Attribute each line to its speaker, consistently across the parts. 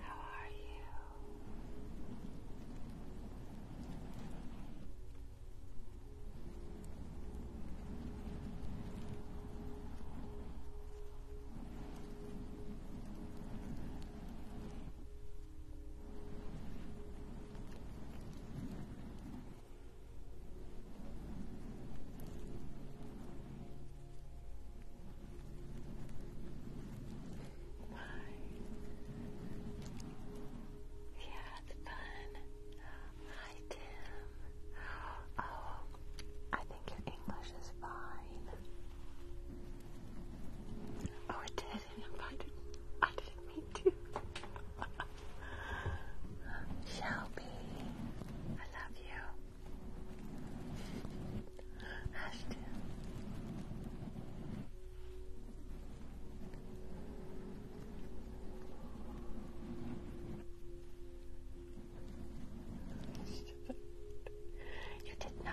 Speaker 1: Hi, how are you? Why? Yeah, it's fun. Hi, Tim. Oh, I think your English is fine. Oh, I didn't, I didn't mean to. Shelby, I love you. Ashton. You did not.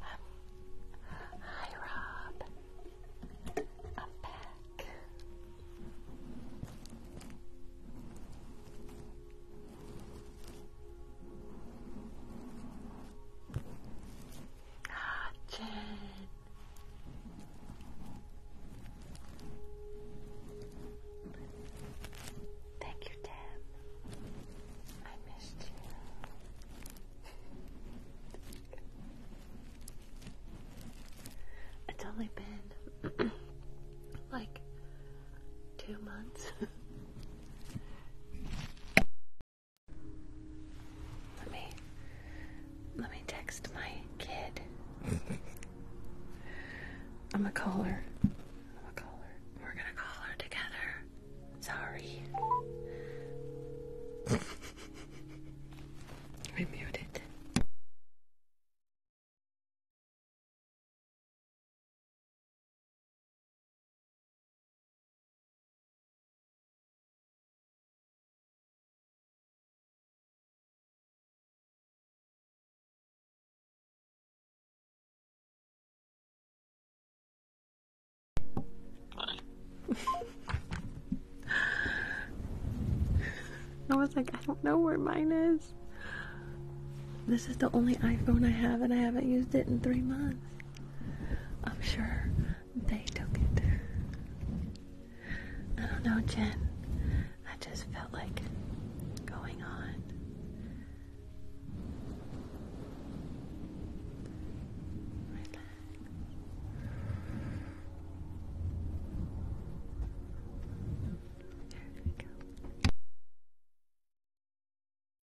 Speaker 2: Um, hi, Rob. I'm back.
Speaker 1: Gotcha. Thank you, Deb. I missed you. It's only been like two months. Let me let me text my kid. I'm a caller. I'm a caller. We're gonna call her together. Sorry. I
Speaker 2: muted.
Speaker 1: I was like, I don't know where mine is. This is the only iPhone I have, and I haven't used it in three months. I'm sure they took it. I don't know, Jen. I just felt like going on. Relax. There we go.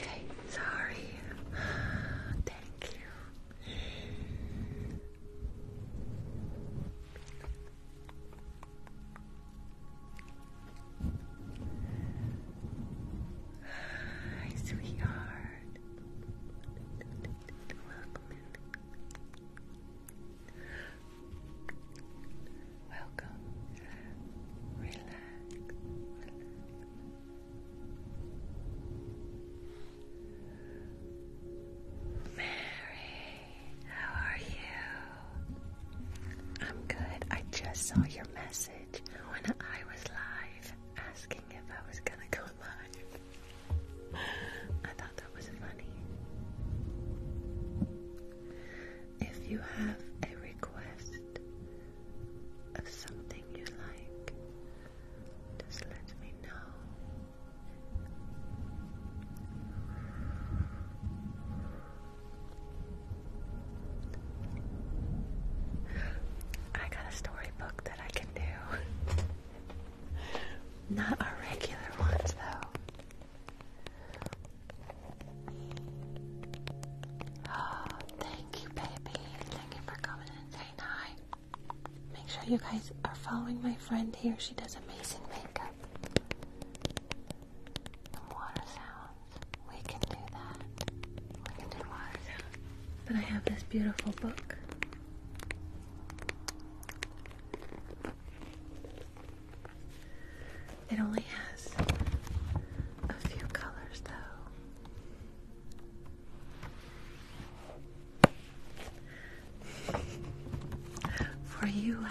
Speaker 1: Okay, sorry. Thank you. Hi, sweetheart. Welcome. Relax. Mary, how are you? I'm good. I just saw your message when I was live asking if I was gonna come live thought If you have a request of something you like, just let me know. I got a storybook that I can do. Not our regular ones, though. Oh, thank you, baby. Thank you for coming and saying hi. Make sure you guys are following my friend here. She does amazing makeup. water sounds. We can do that. We can do water sounds. But I have this beautiful book. It only has a few colors, though. For you, I will.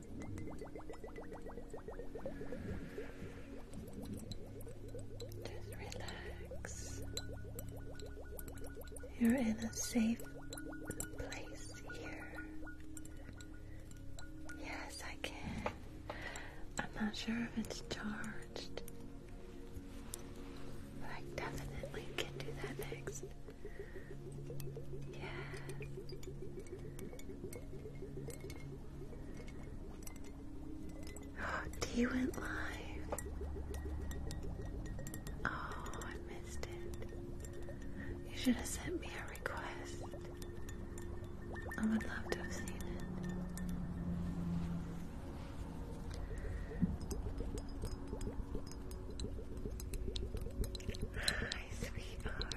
Speaker 1: Just relax. You're in a safe place here. Yes, I can. I'm not sure if it's charged. But I definitely can do that next. Yeah. Oh, T went live. Oh, I missed it. You should have sent me a request. I would love to have seen it. Hi, sweetheart.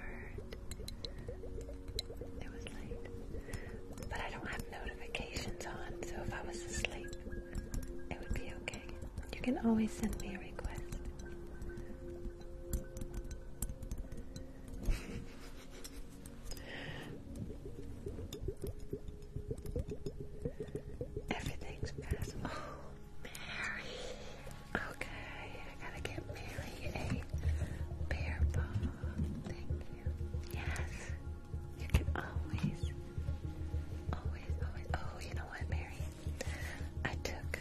Speaker 1: It was late. But I don't have notifications on, so if I was asleep, it would be okay. You can always send me a request. Everything's passed. Oh, Mary. Okay, I gotta get Mary a bear ball. Thank you. Yes, you can always, always, always. Oh, you know what, Mary? I took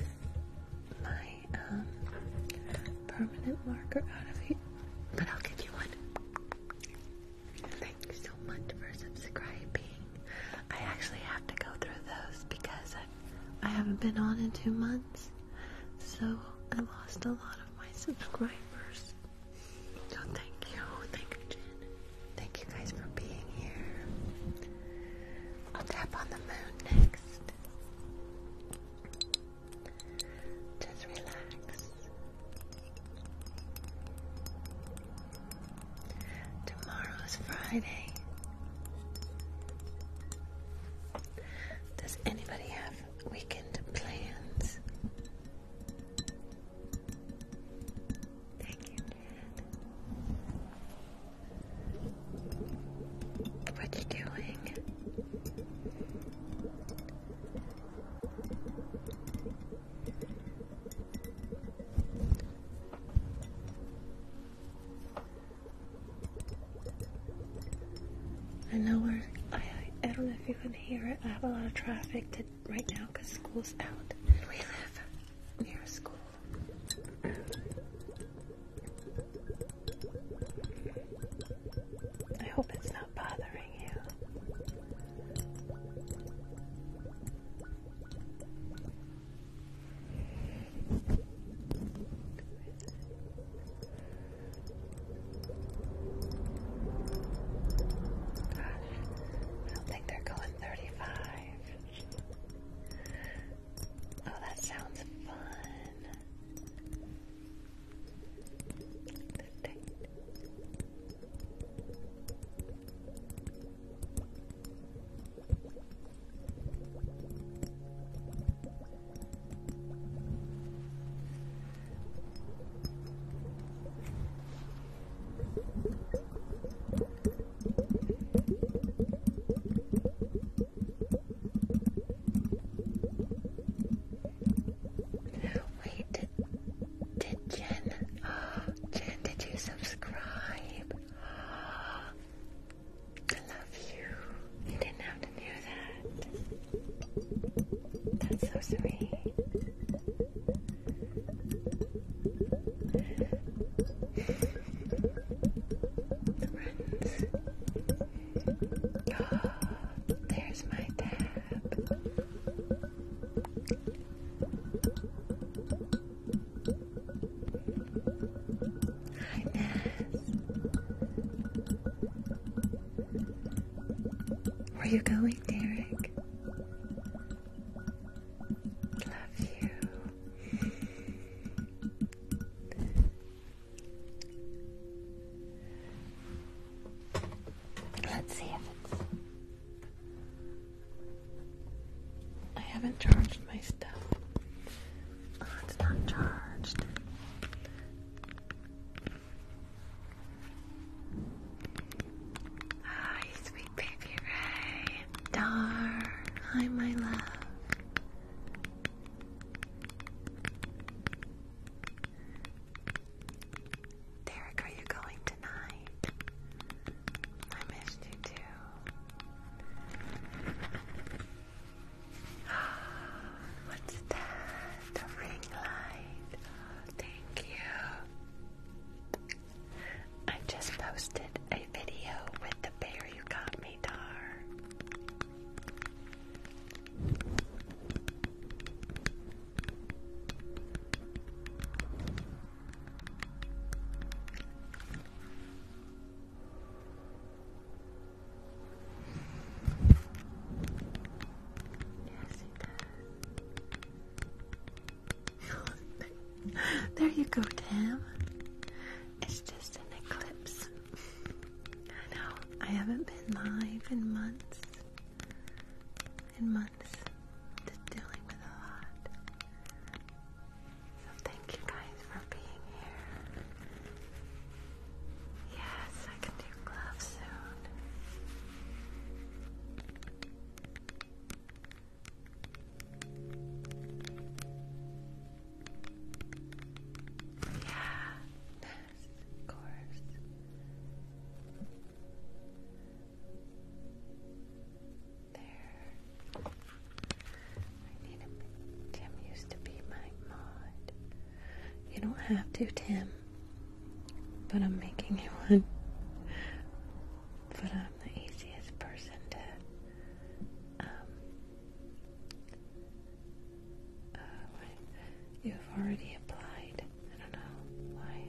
Speaker 1: my um, permanent marker out of it, but I'll get you one. Thank you so much for subscribing. I actually have to go through those because I I haven't been on in two months, so I lost a lot of my subscribers. So thank you, thank you, Jen. Thank you guys for being here. I'll tap on the moon next. Just relax. Tomorrow is Friday. Does anybody have weekend plans? Thank you, What you doing? I know where. I, I don't know if you can hear it. I have a lot of traffic to, right now because school's out. And we live near school. I hope it's not bothering you. I don't think they're going 35. Oh, that sounds fun. Wait, did, did Jen, Jen, did you subscribe? I love you. You didn't have to do that. That's so sweet. Oh, there's my tab. Hi, Naz. Where are you going, Derek? Love you. Let's see if I haven't charged my stuff. Oh, it's not charged. Hi, sweet baby Ray. Dar. Hi, my love. Derek, are you going tonight? I missed you too. What's that? The ring light. Oh, thank you. I just posted a video with the bear you got me, Dar. there you go, Tam. It's just an eclipse. I know, I haven't been live in months. In months. Just dealing with a lot thank you guys for being here. Yes, I can do gloves soon. Yeah, of course. There. Tim used to be my mod. You don't have to, Tim. But I'm making you one. But I'm the easiest person to um, uh, you've already applied. I don't know why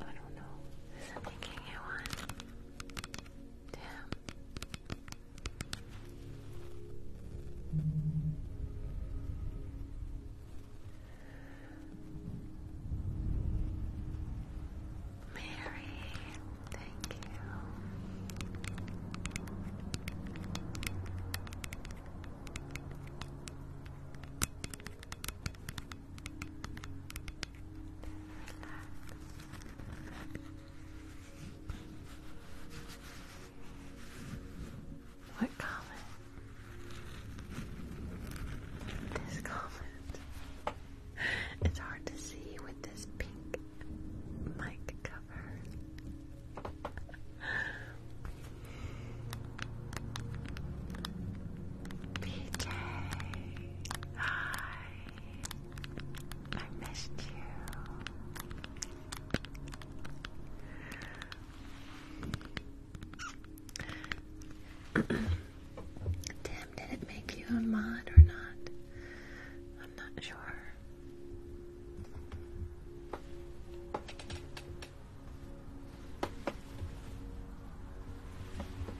Speaker 1: I don't know. Is that making you one? Damn. Mary, thank you. What comment? This comment. It's hard to see with this pink mic cover. PJ. Hi. I missed you. Tim, did it make you a mod or not? I'm not sure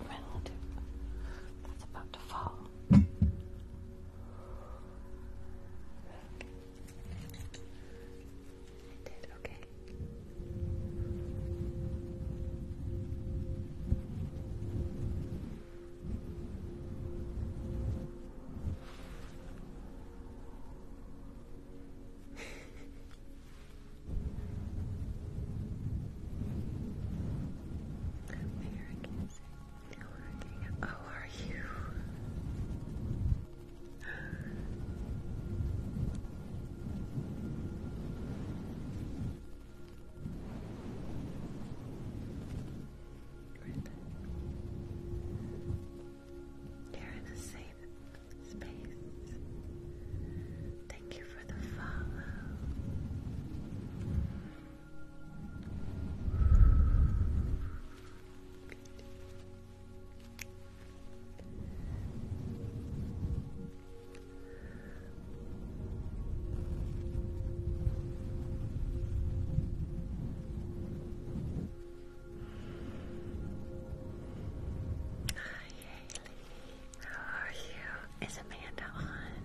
Speaker 1: relative that's about to fall. I did okay. Mayor, Oh, are you? You're in a safe space. Thank you for the how are you? Is Amanda on?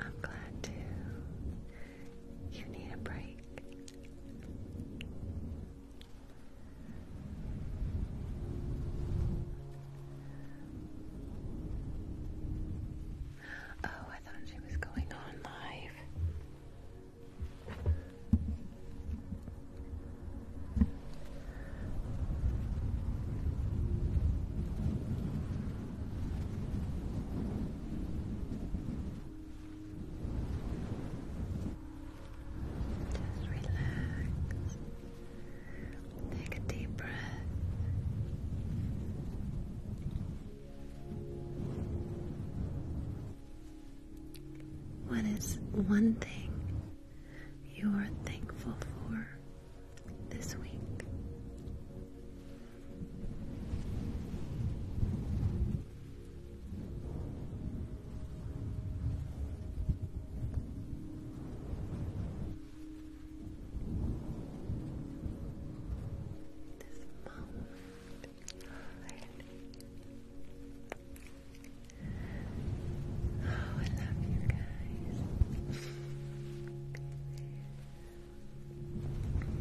Speaker 1: I'm glad to. You need a break. Oh, I thought she was going on live. Just relax. Take a deep breath. What is one thing you are thankful for this week? This moment Oh, I love you guys.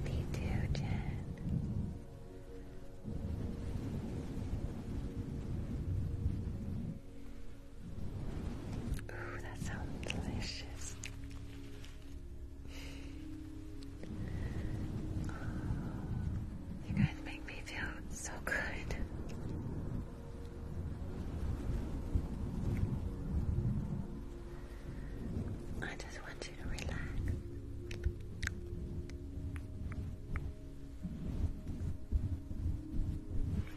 Speaker 1: Me too, Jen. Ooh, that sounds delicious. You guys make me feel so good. I just want you to relax.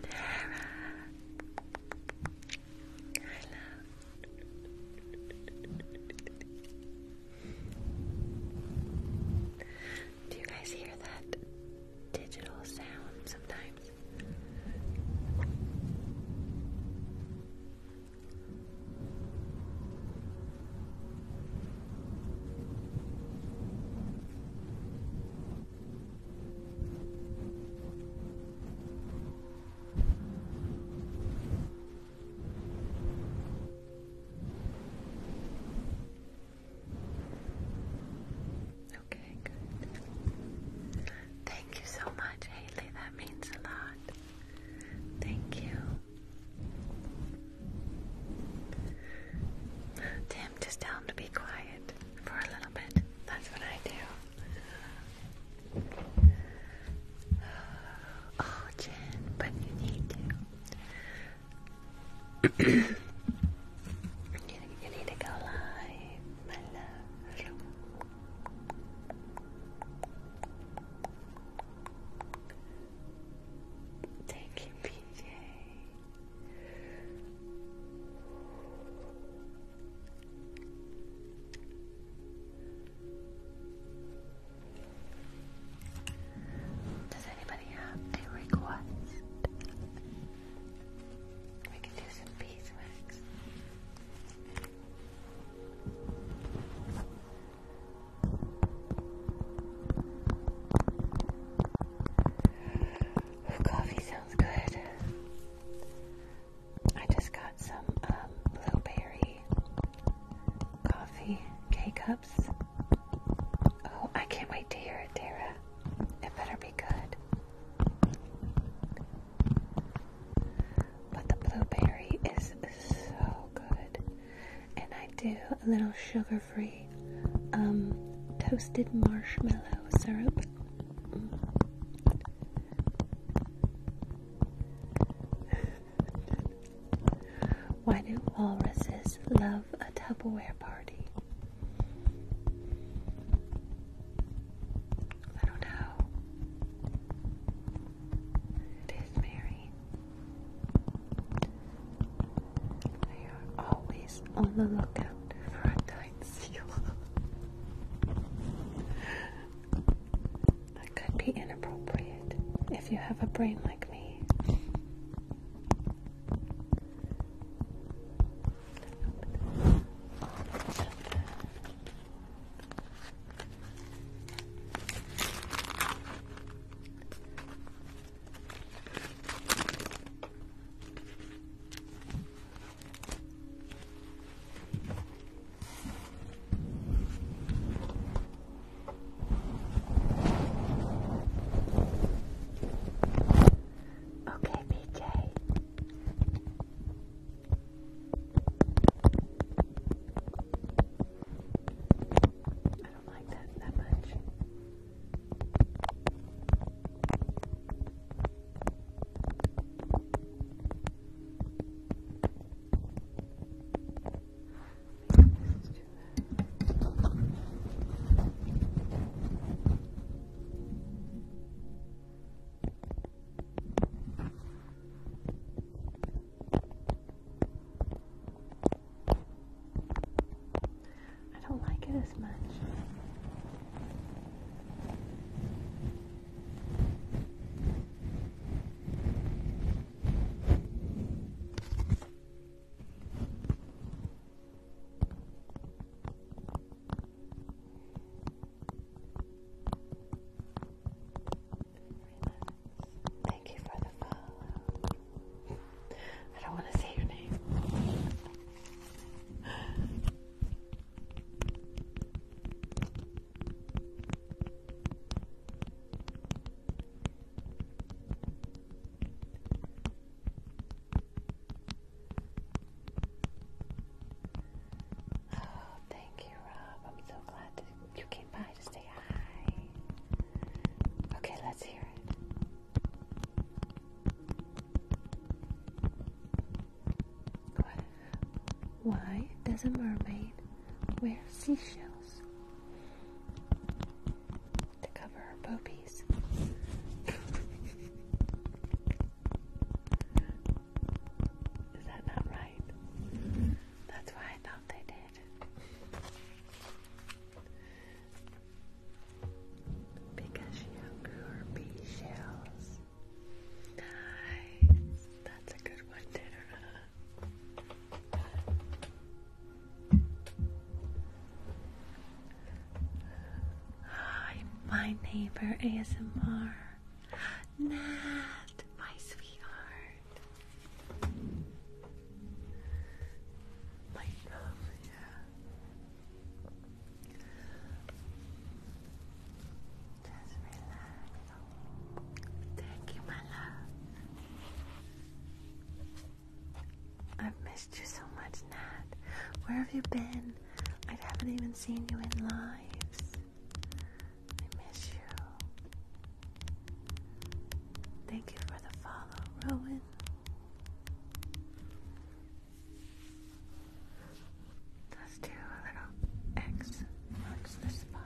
Speaker 1: Tara, I love. Do you guys hear that digital sound sometimes? Okay, good. Thank you so much, Haley. That means a lot. Thank you. Tim, just tell him to be quiet for a little bit. That's what I do. Oh, Jen, but you need to you need to go live, my love. Thank you, PJ. Does anybody have a request? We can do some beeswax. Coffee sounds good. I just got some um, blueberry coffee K cups Oh, I can't wait to hear it, Tara. It better be good. But the blueberry is so good. And I do a little sugar free um, toasted marshmallow syrup. Why do walruses love a Tupperware party? I don't know. It is Mary. They are always on the lookout for a tight seal. That could be inappropriate if you have a brain like me. Okay, PJ. I don't like that that much. I don't like it as much. Thank you for the follow. I don't want to say your name. Oh, thank you, Rob. I'm so glad that you came by to say hi. Okay, let's hear it. Why does a mermaid wear seashells to cover her poopies. Is that not right? That's why I thought they did. Because she outgrew her bee Nice. That's a good one, Tanner. Hi, my neighbor ASMR. Nat, my sweetheart. My love, yeah. Just relax. Thank you, my love. I've missed you so much, Nat. Where have you been? I haven't even seen you in lives. I miss you. Thank you for the follow, Rowan. Let's do a little X marks the spot.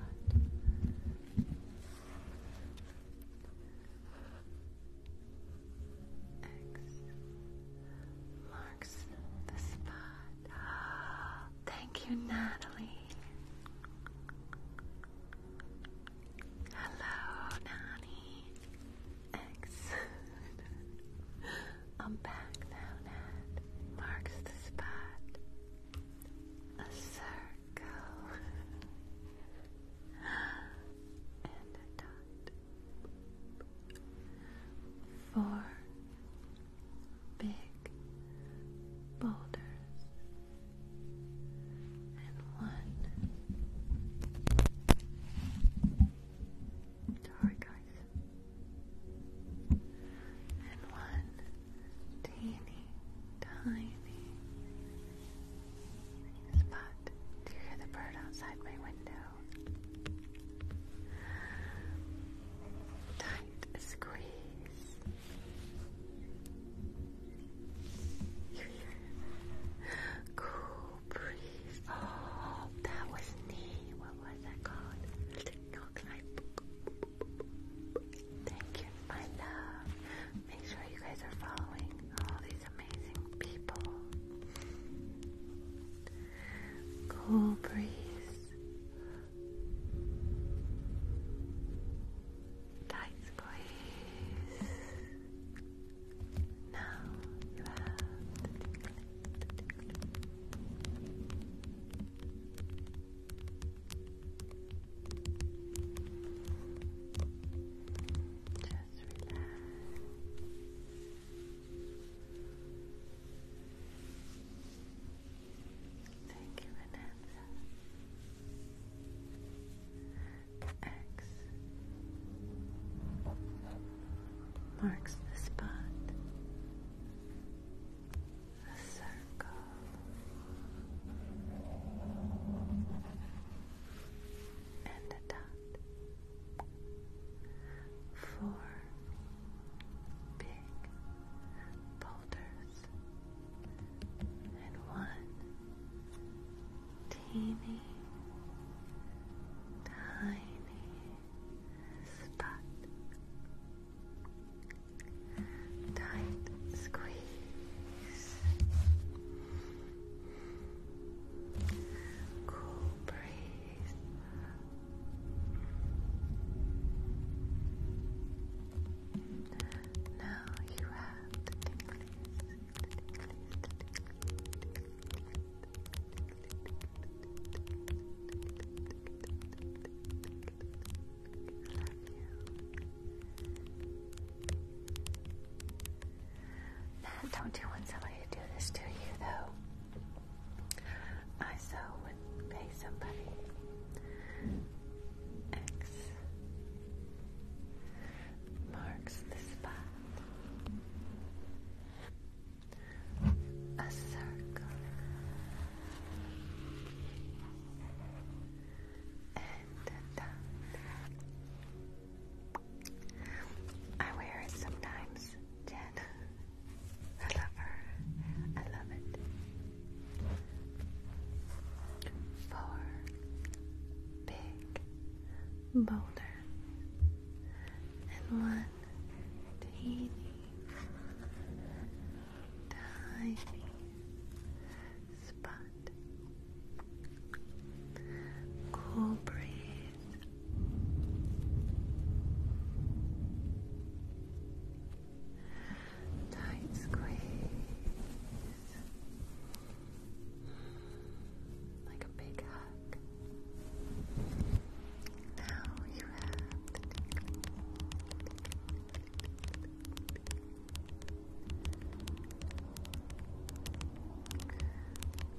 Speaker 1: X marks the spot. Thank you, Natalie. Hello, Nani. Excellent. am back now, Nat. Marks the spot. A go. and a dot. Four big boulders and one. Sorry, guys. And one teeny tiny Spot, do you hear the bird outside my window? Tight squeeze. You hear cool breeze. Oh, that was neat. What was that called? No, I. Thank you, my love. Make sure you guys are following all these amazing people. Cool breeze. Tight squeeze. Now you have to tickle it, to just relax. Thank you, Vanessa. X marks the spot. A circle and a dot. Four big boulders and one teeny tiny spot. Tight squeeze Cool breeze. Now you have the tingles, you. Matt, don't you want somebody to do this to you, though? I so would pay somebody. X marks the spot. A circle. I wear it sometimes, Jen. I love her. I love it. Four big boulders and one teeny tiny spot Cool breath. Tight squeeze. Like a big hug. Now you have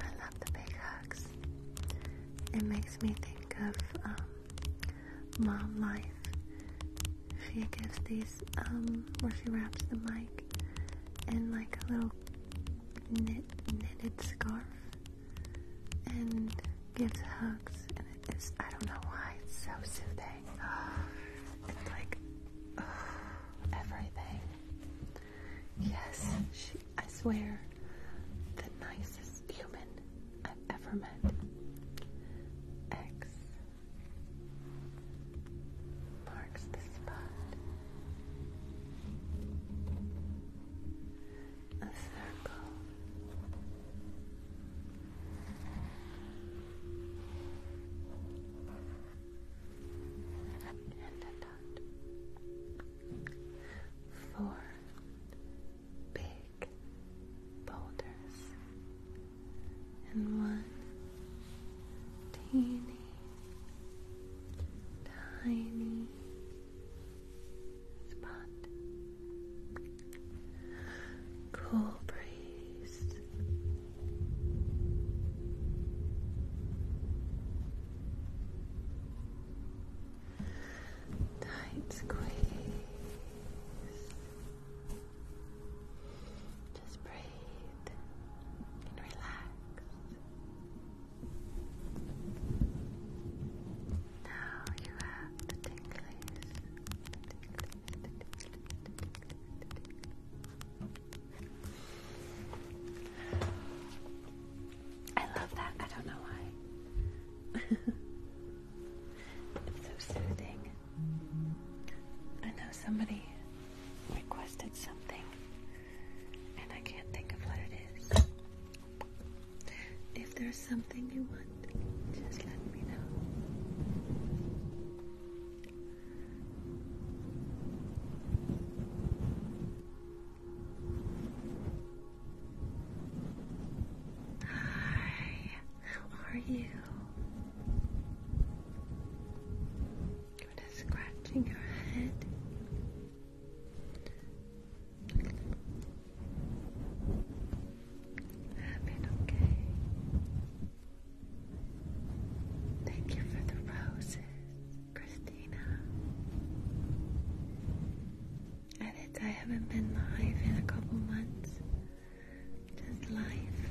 Speaker 1: I love the big hugs. It makes me think of um, mom life. She gives these, um, where she wraps the mic in like a little knit, knitted scarf and gives hugs. And it is, I don't know why, it's so soothing. like, everything. Yes, I swear, the nicest human I've ever met. X marks the spot. A circle and Four big boulders and one teeny tiny spot. Cool breeze taste. Tight squeeze. Just breathe and relax. Now you have the tinglies. I love that. I don't know why. it's so soothing. I know somebody requested something, and I can't think of what it is. If there's something you want, just let me know. Hi, how are you? Good at scratching your head. I've been okay. Thank you for the roses, Christina. Edits, I haven't been live in a couple months. Just life.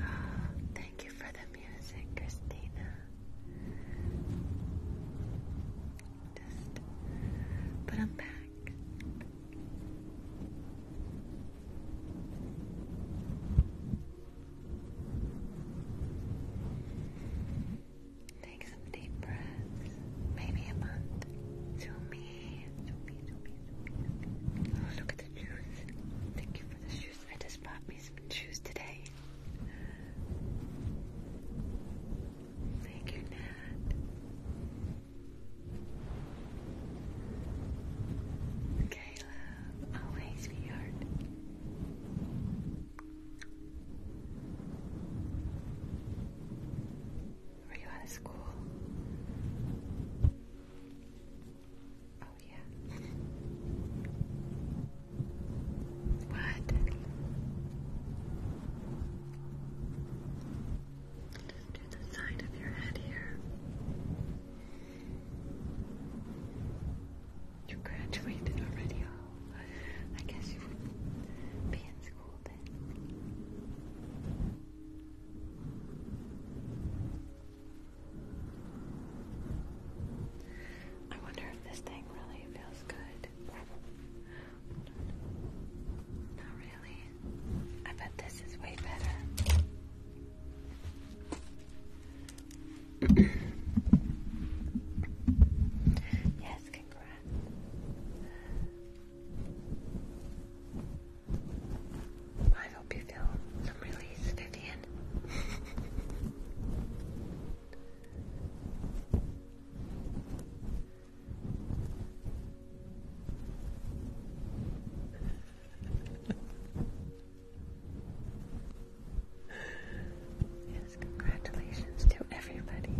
Speaker 1: Oh, thank you for the music, Christina. Just, but I'm back. Take some deep breaths, maybe a month. To me, to me, to me, to me. Oh, look at the juice. Thank you for the shoes. I just bought me some juice today. Thank you, Nat. Okay, love. Always, sweetheart. Were you out of school? Oh, yeah. what? Just do the side of your head here. You graduated already, oh. I guess you would be in school then. I wonder if this thing really feels good. Not really. I bet this is way better yes, congrats. I hope you feel some release, Vivian. Yes, congratulations to everybody.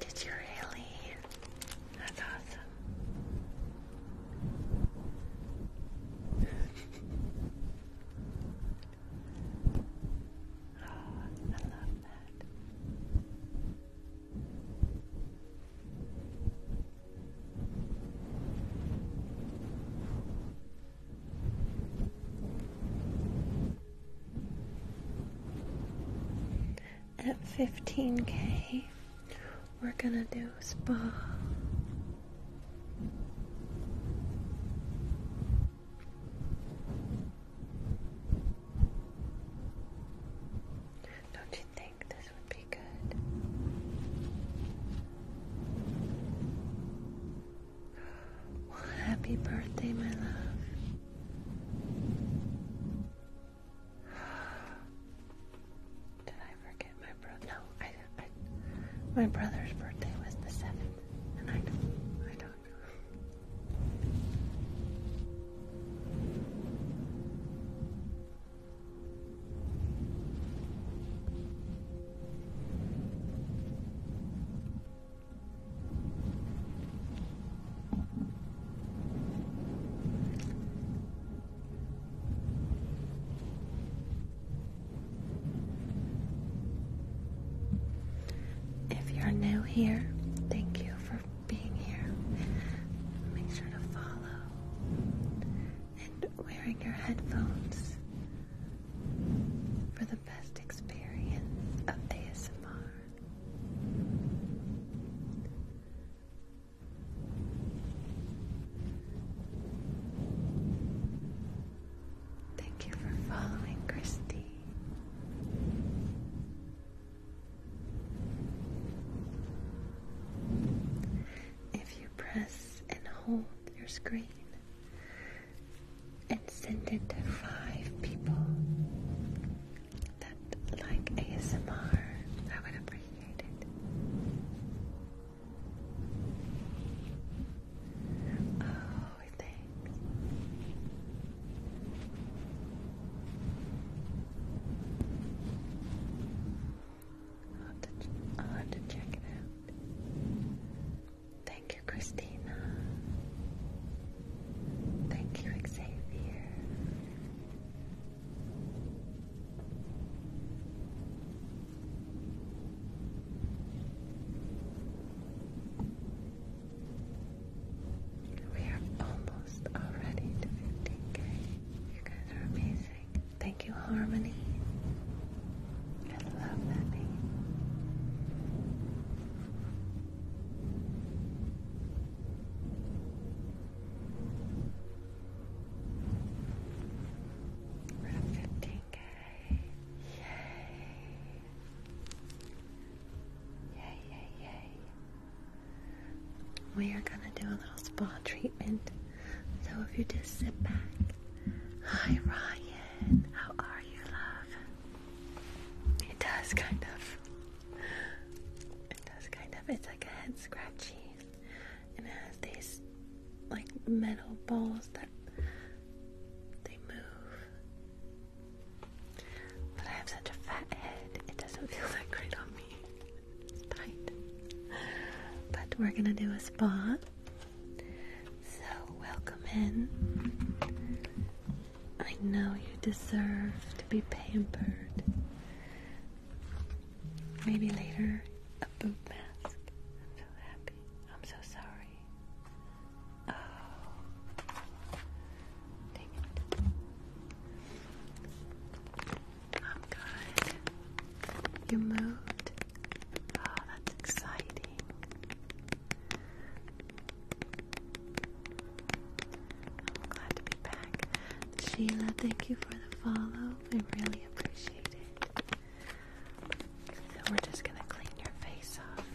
Speaker 1: Did you really? That's awesome. Oh, I love that. At 15k, we're gonna do spa. Don't you think happy birthday, my love. Did I forget my brother? No, my brother's birthday was the seventh, and I don't, I don't know. If you're new here, thank you for being here. Make sure to follow. And wearing your headphones for the best experience of ASMR. Thank you for following, Christy. If you press and hold your screen and send it to five people that like ASMR, I would appreciate it. Oh, thanks. I'll have, to check it out. Thank you, Christina. Thank you, Xavier.
Speaker 2: We are almost
Speaker 1: already to 15k. You guys are amazing. Thank you, Harmony. I love that name. we 15 Yay, yay, yay. We are gonna do a little spa treatment. So if you just sit back. Hi Ryan, how are you, love? It does kind of. It does kind of. It's like a head scratchy, and it has these like metal balls that they move. But I have such a fat head; it doesn't feel that great on me. But we're gonna do a spa. So, welcome in. I know you deserve to be pampered. Maybe later, a boob mask. I'm so happy. I'm so sorry. Oh. Dang it. I'm good. You moved? Oh, that's exciting. I'm glad to be back. Sheila, thank you for the follow. We really appreciate it. So we're just gonna clean your face off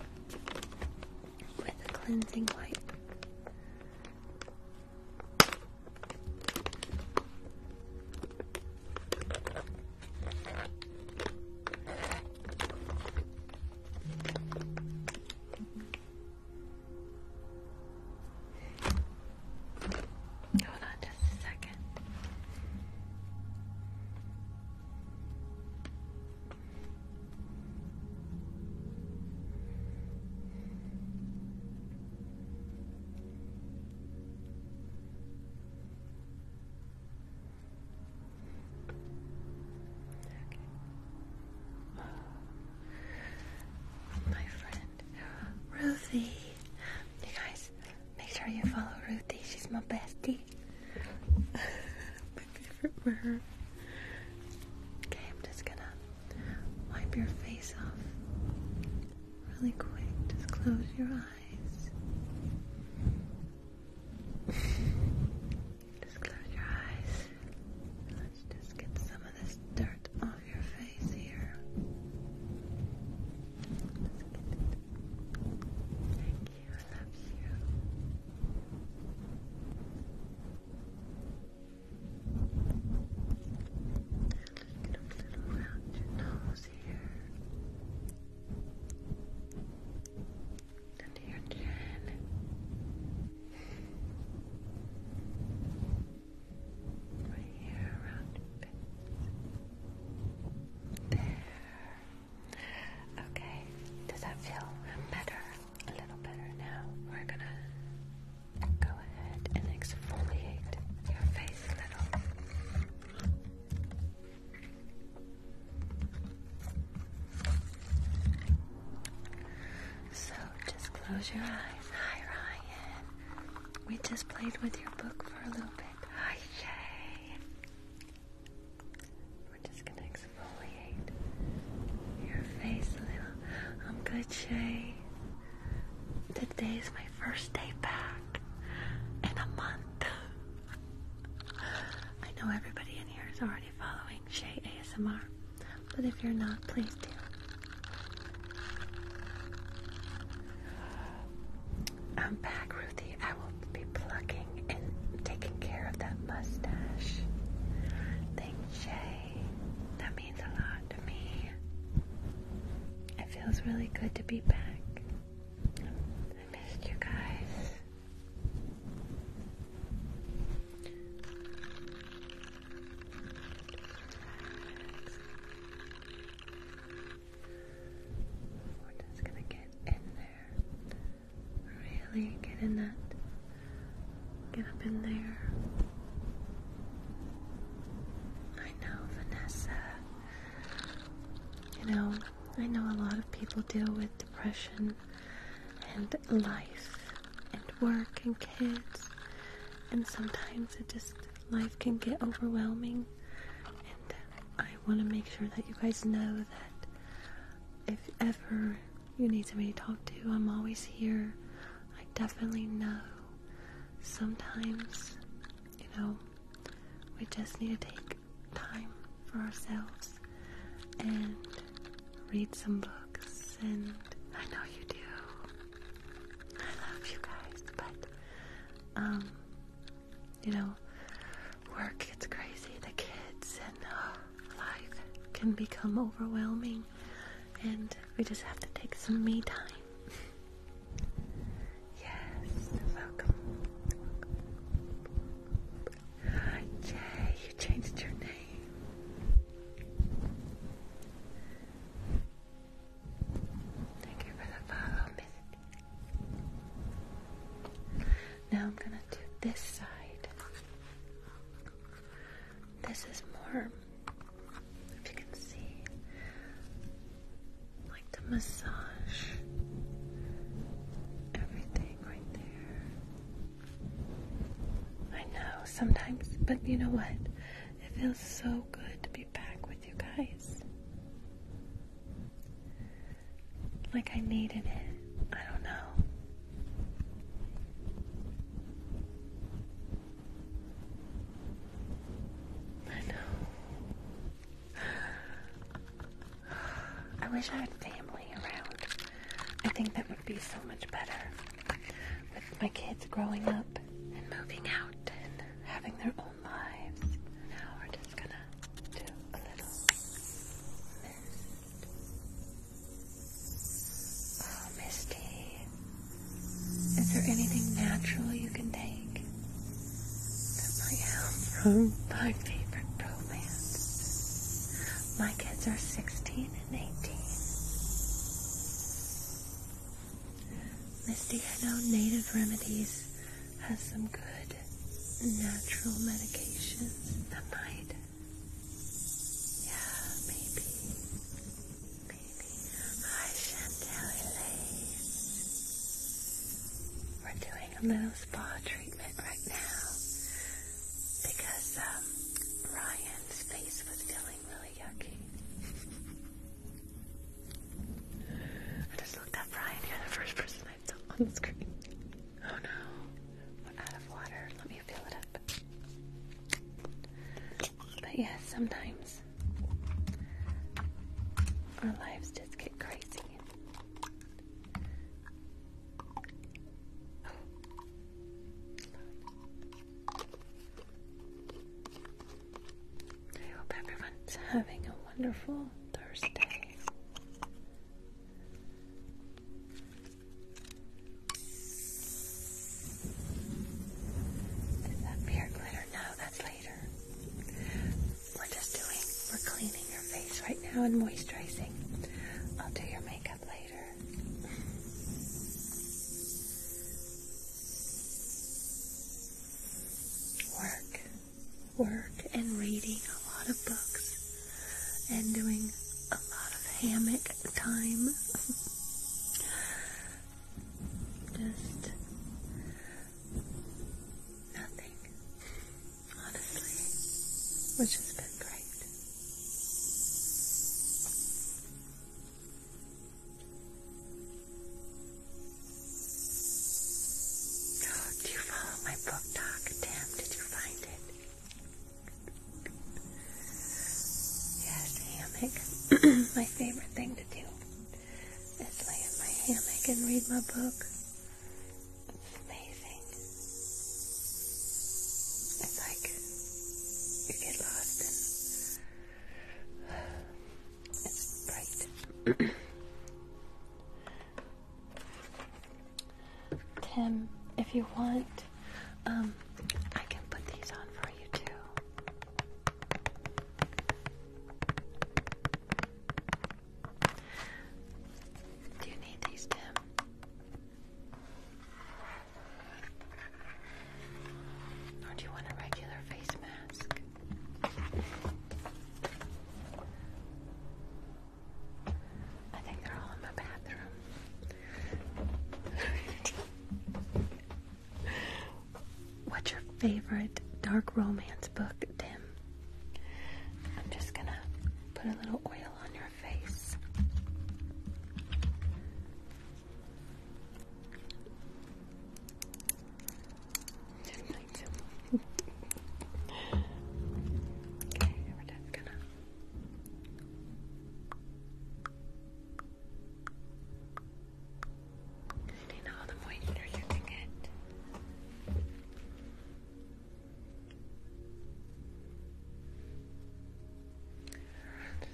Speaker 1: with a cleansing wipe. Hold on just a second my friend, Ruthie. You guys, make sure you follow Ruthie. She's my bestie. my favorite bird. Okay, I'm just gonna wipe your face off really quick. Just close your eyes. just close your eyes. Let's just get some of this dirt off your face here. Thank you. I love you. Under your chin. Right here around your face. There. Okay. Does that feel better? A little better now. We're gonna Go ahead and exfoliate your face a little. So just close your eyes. Hi, Ryan. We just played with your book for a little bit. Hi, yay. We're just gonna exfoliate your face a little. I'm good, Shay. Today is my first day back in a month. I know everybody in here is already following Shay ASMR, but if you're not, please do. I'm back, Ruthie. I will be plucking and taking care of that mustache. Thank Shay. That means a lot to me. It feels really good to be back. I missed you guys. we gonna get in there. Really get in that. Get up in there. I know, Vanessa. You know, I know a lot of people deal with depression and life and work and kids, and sometimes it just life can get overwhelming. And I want to make sure that you guys know that if ever you need somebody to talk to, I'm always here. I definitely know sometimes, you know, we just need to take time for ourselves and read some books. And I know you do. I love you guys, but, um, you know, work gets crazy, the kids, and oh, life can become overwhelming. And we just have to take some me time Yes, welcome. welcome. Yay, you changed your name. Thank you for the follow, Miss. Now I'm gonna do this side. This is more if you can see, like to massage everything right there. I know sometimes, but you know what? It feels so good to be back with you guys. Like I needed it. I don't know. I know. I wish I had family around. I think that would be so much better. With my kids growing up and moving out and having their own lives. Now we're just gonna do a little oh, Misty. Is there anything natural you can take that might help from my favorite romance? My kids are 16 and 18. Misty, I know Native Remedies has some good natural medications that might. Yeah, maybe. Hi Chantel We're doing a little spa treatment right now because um, Ryan's face was feeling really yucky. I just looked at Ryan. the first person I saw on the screen. Oh no, we're out of water. Let me fill it up. But yes, sometimes our lives just get crazy. I hope everyone's having a wonderful Thursday. Does that beer glitter? No, later. We're just doing, we're cleaning your face right now and moisturizing. I'll do your makeup later. Work, work, and reading a lot of books and doing a lot of hammock time. Just nothing, honestly, which has been great. Oh, do you follow my book talk? Damn, did you find it? Yes, hammock. my favorite thing to do and lay in my hammock and read my book. It's amazing. It's like you get lost and it's bright. Tim, if you want, um, I can put these on for you too. Do you need these, Tim? Or do you want a regular face mask? I think they're all in my bathroom. What's your favorite dark romance book, Tim? I'm just gonna put a little oil on your face. okay, we're just gonna. Do all the moisture you can get?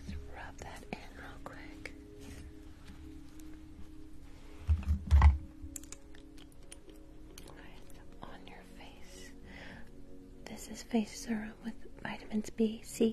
Speaker 1: Just rub that in real quick. on your face. This is face serum with vitamins B, C,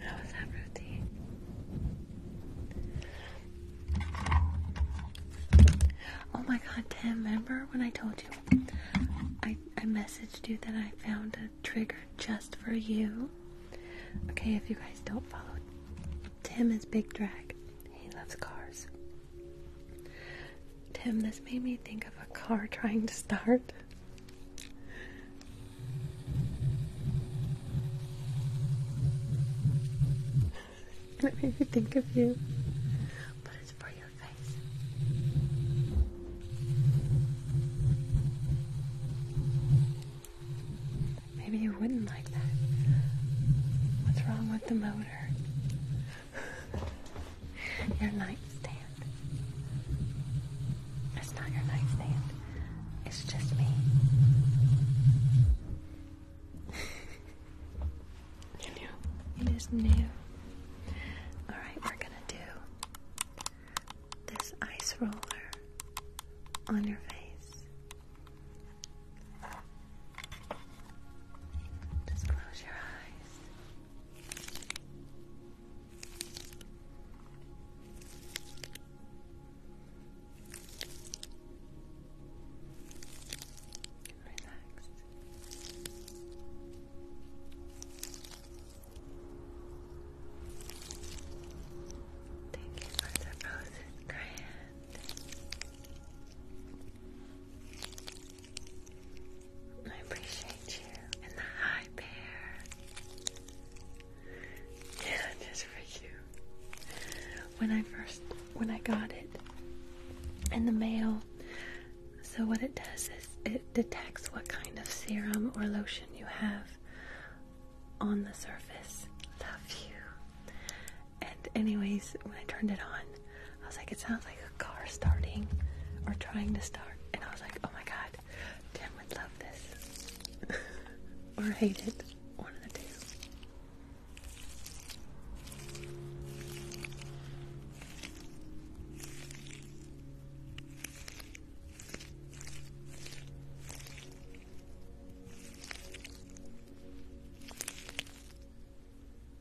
Speaker 1: How was that routine? Oh my god, Tim, remember when I told you I, I messaged you that I found a trigger just for you? Okay, if you guys don't follow, Tim is Big Drag. He loves cars. Tim, this made me think of a car trying to start. and it made me think of you. But it's for your face. Maybe you wouldn't like that. What's wrong with the motor? your nightstand. It's not your nightstand. It's just me. you It is new. Alright, we're gonna do this ice roller on your face. Just close your eyes. Relax. Thank you for the roses, Grant. I appreciate you. And the high bear. Yeah, just for you. When I first, when I got it in the mail, so what it does is it detects what kind of serum or lotion you have on the surface. Love you. And anyways, when I turned it on, I was like, it sounds like a car starting or trying to start. And I was like, oh my god, Tim would love this. or hate it. One of the two.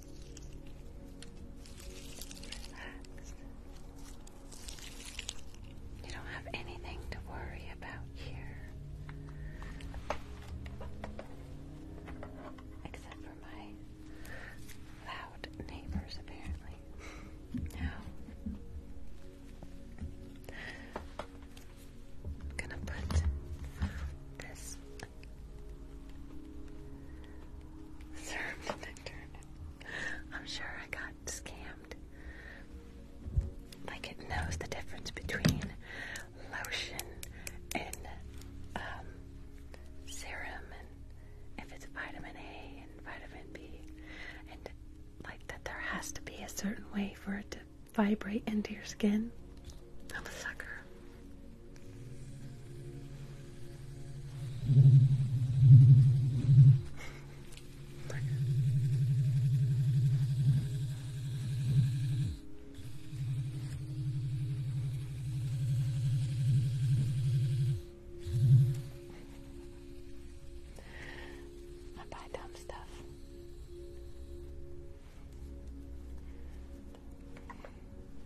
Speaker 1: Relax. You don't have anything to worry about here. Except for my loud neighbors, apparently. Now, I'm gonna put this I'm sure I got scammed. Like it knows the difference between lotion and um, serum, and if it's vitamin A and vitamin B, and like that there has to be a certain way for it to vibrate into your skin. I'm a sucker. I buy dumb stuff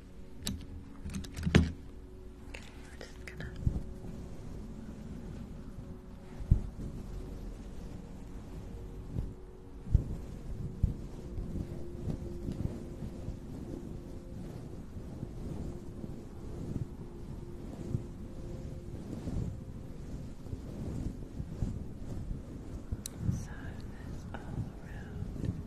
Speaker 1: we're so that's all around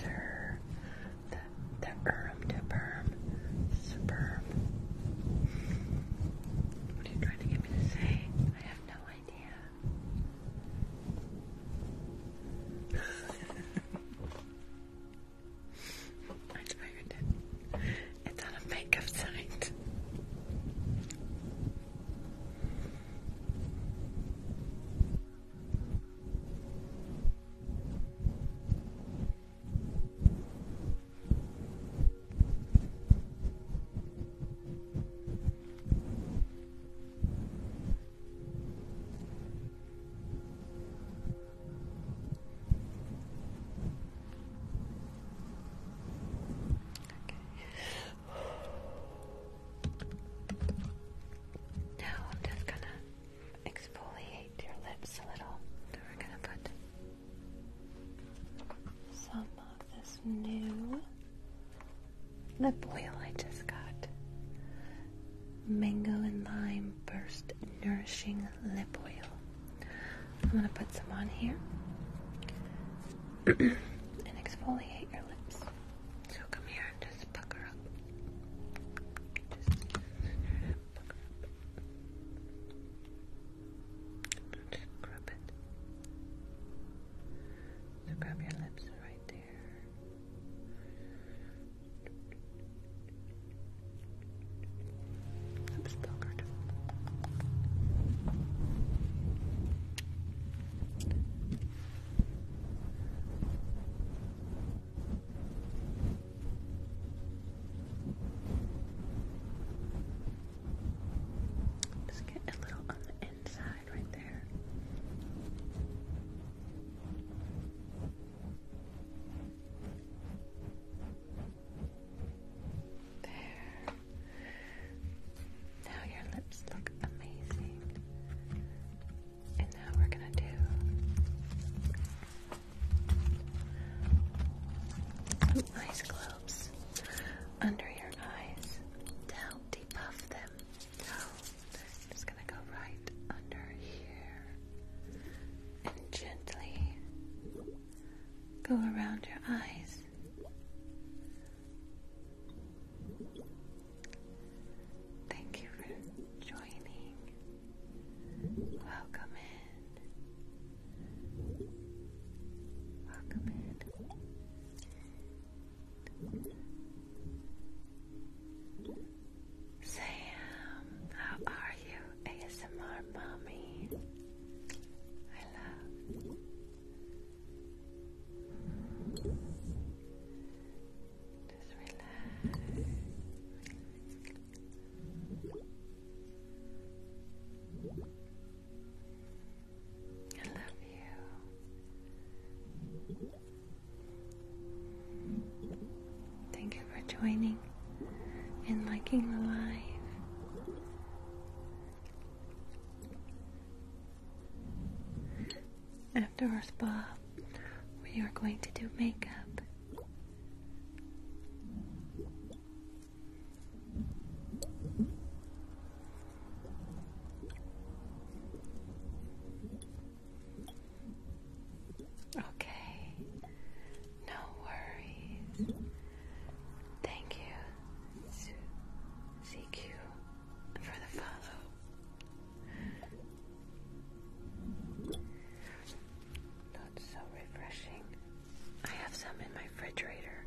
Speaker 1: Sir, the the erm to perm, superb. What are you trying to get me to say? I have no idea. I figured it. It's on a makeup site. Now I'm just gonna exfoliate your lips a little. So we're gonna put some of this new lip oil I just got. Mango and lime burst nourishing lip oil. I'm going to put some on here and exfoliate your lips. So come here and just pucker up. Just pucker up. Just grab your lips right there i just get a little on the inside right there. Now your lips look amazing. And now we're going to do some ice globes under your eyes to help depuff them. So I'm just going to go right under here and gently go around your eyes. Thank you for joining. Welcome in. Welcome in. Sam, how are you, ASMR mommy? I love. Just relax. I love you. Thank you for joining and liking the live. After our spa, we are going to do makeup. Okay, no worries. Thank you CQ for the follow. Not so refreshing. I have some in my refrigerator.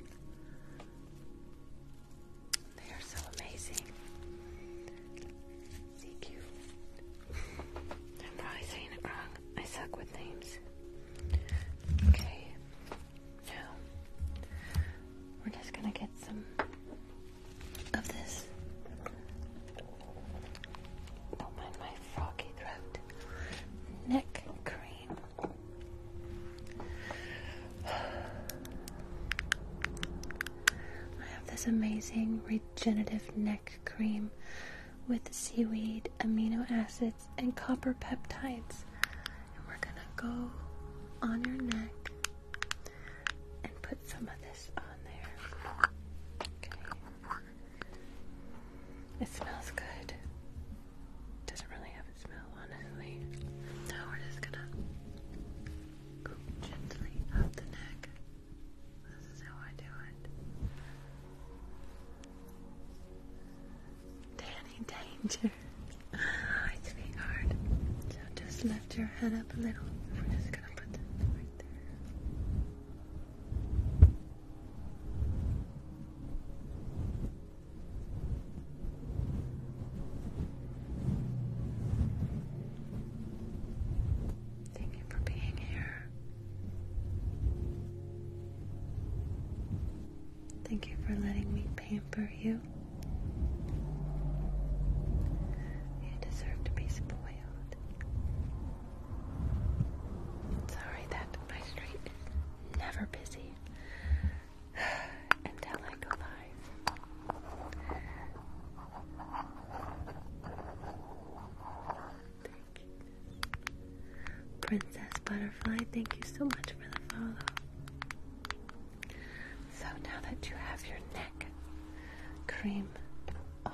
Speaker 1: They are so amazing. CQ. I'm probably saying it wrong. I suck with names. Okay. Now, we're just gonna get some of this. Don't oh mind my froggy throat. Neck cream. I have this amazing regenerative neck cream with seaweed, amino acids and copper peptides. And we're gonna go on your neck and put some of this on there. Okay. It smells good. Doesn't really have a smell, honestly. Now we're just gonna go gently up the neck. This is how I do it. Danny Danger. Hi, ah, sweetheart. So just lift your head up a little. We're just gonna put that right there. Thank you for being here. Thank you for letting me pamper you. You deserve to be spoiled. Sorry that my street is never busy until I go live. Princess Butterfly, thank you so much for the follow. So now that you have your neck cream on,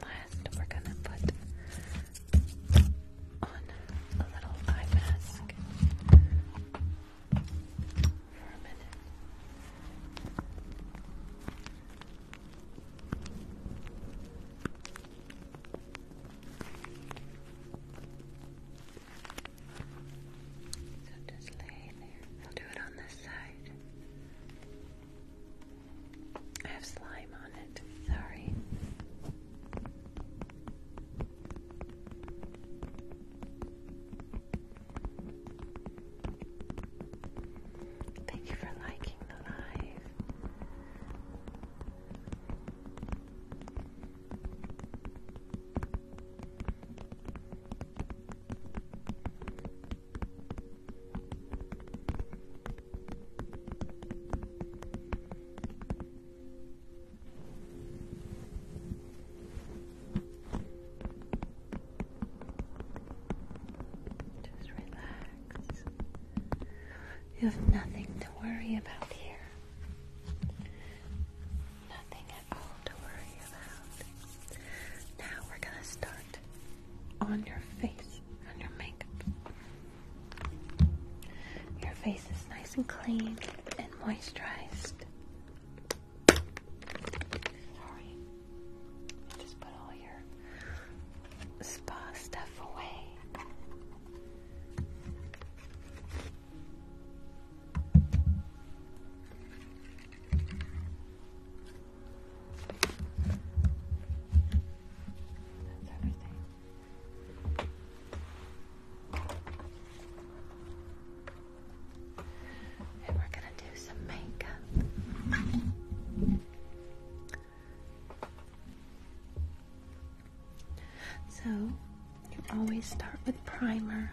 Speaker 1: last we're gonna put on a little eye mask for a minute. So just lay there. I'll do it on this side. I have slime on it. Sorry. Thank you for liking the live. Just relax. You have nothing to worry about here. Nothing at all to worry about. Now we're gonna start on your face, on your makeup. Your face is nice and clean and moisturized. Just put all your spa stuff away. And we're going to do some makeup. So, you always start with primer.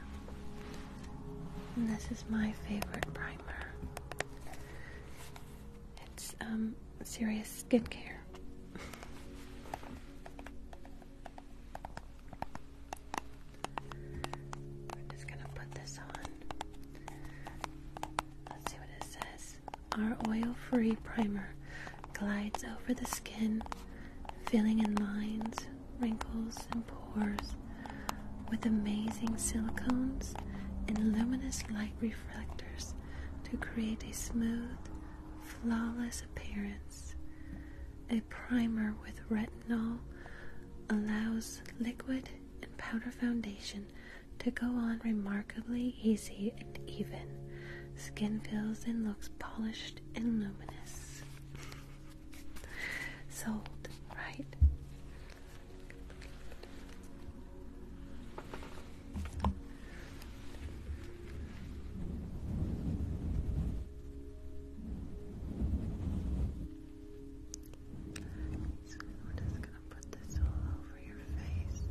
Speaker 1: And this is my favorite primer. It's um, serious skincare. We're just gonna put this on. Let's see what it says our oil free primer glides over the skin, filling in lines, wrinkles, and pores with amazing silicones and luminous light reflectors to create a smooth, flawless appearance. A primer with retinol allows liquid and powder foundation to go on remarkably easy and even. Skin feels and looks polished and luminous. Sold, right? we're just gonna put this all over your face.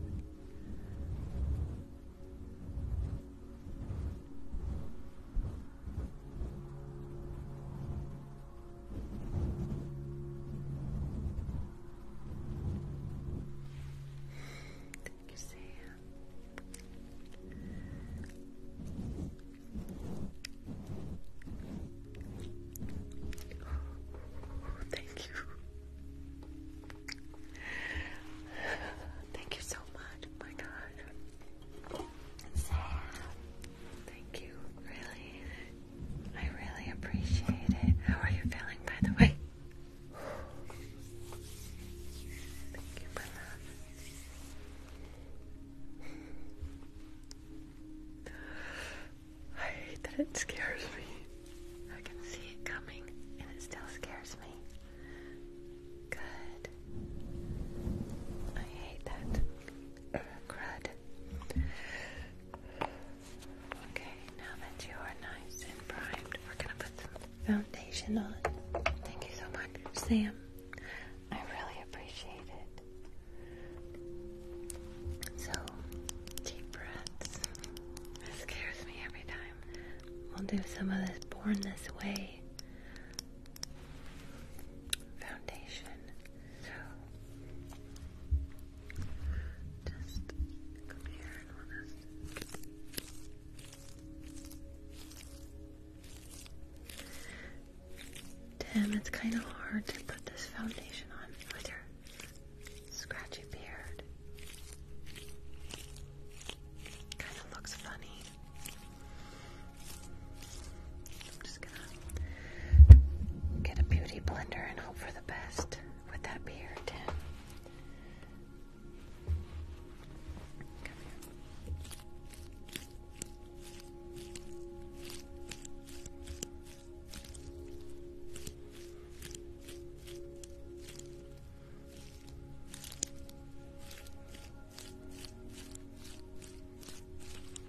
Speaker 1: Thank you, Sam. Thank you, Thank you. Thank you so much. Oh my God. thank you. Really, I really appreciate it. How are you feeling, by the way? I hate that it scares me. I can see it coming and it still scares me. Good. I hate that. crud. Okay, now that you are nice and primed, we're gonna put some foundation on. Thank you so much, Sam. I really appreciate it. So, deep breaths. This scares me every time. We'll do some of this Born This Way foundation. So, just come here and we'll just. it's kind of hard to put this foundation on with your Scratchy beard. Kind of looks funny. I'm just gonna get a beauty blender and hope for the best with that beard, Come here.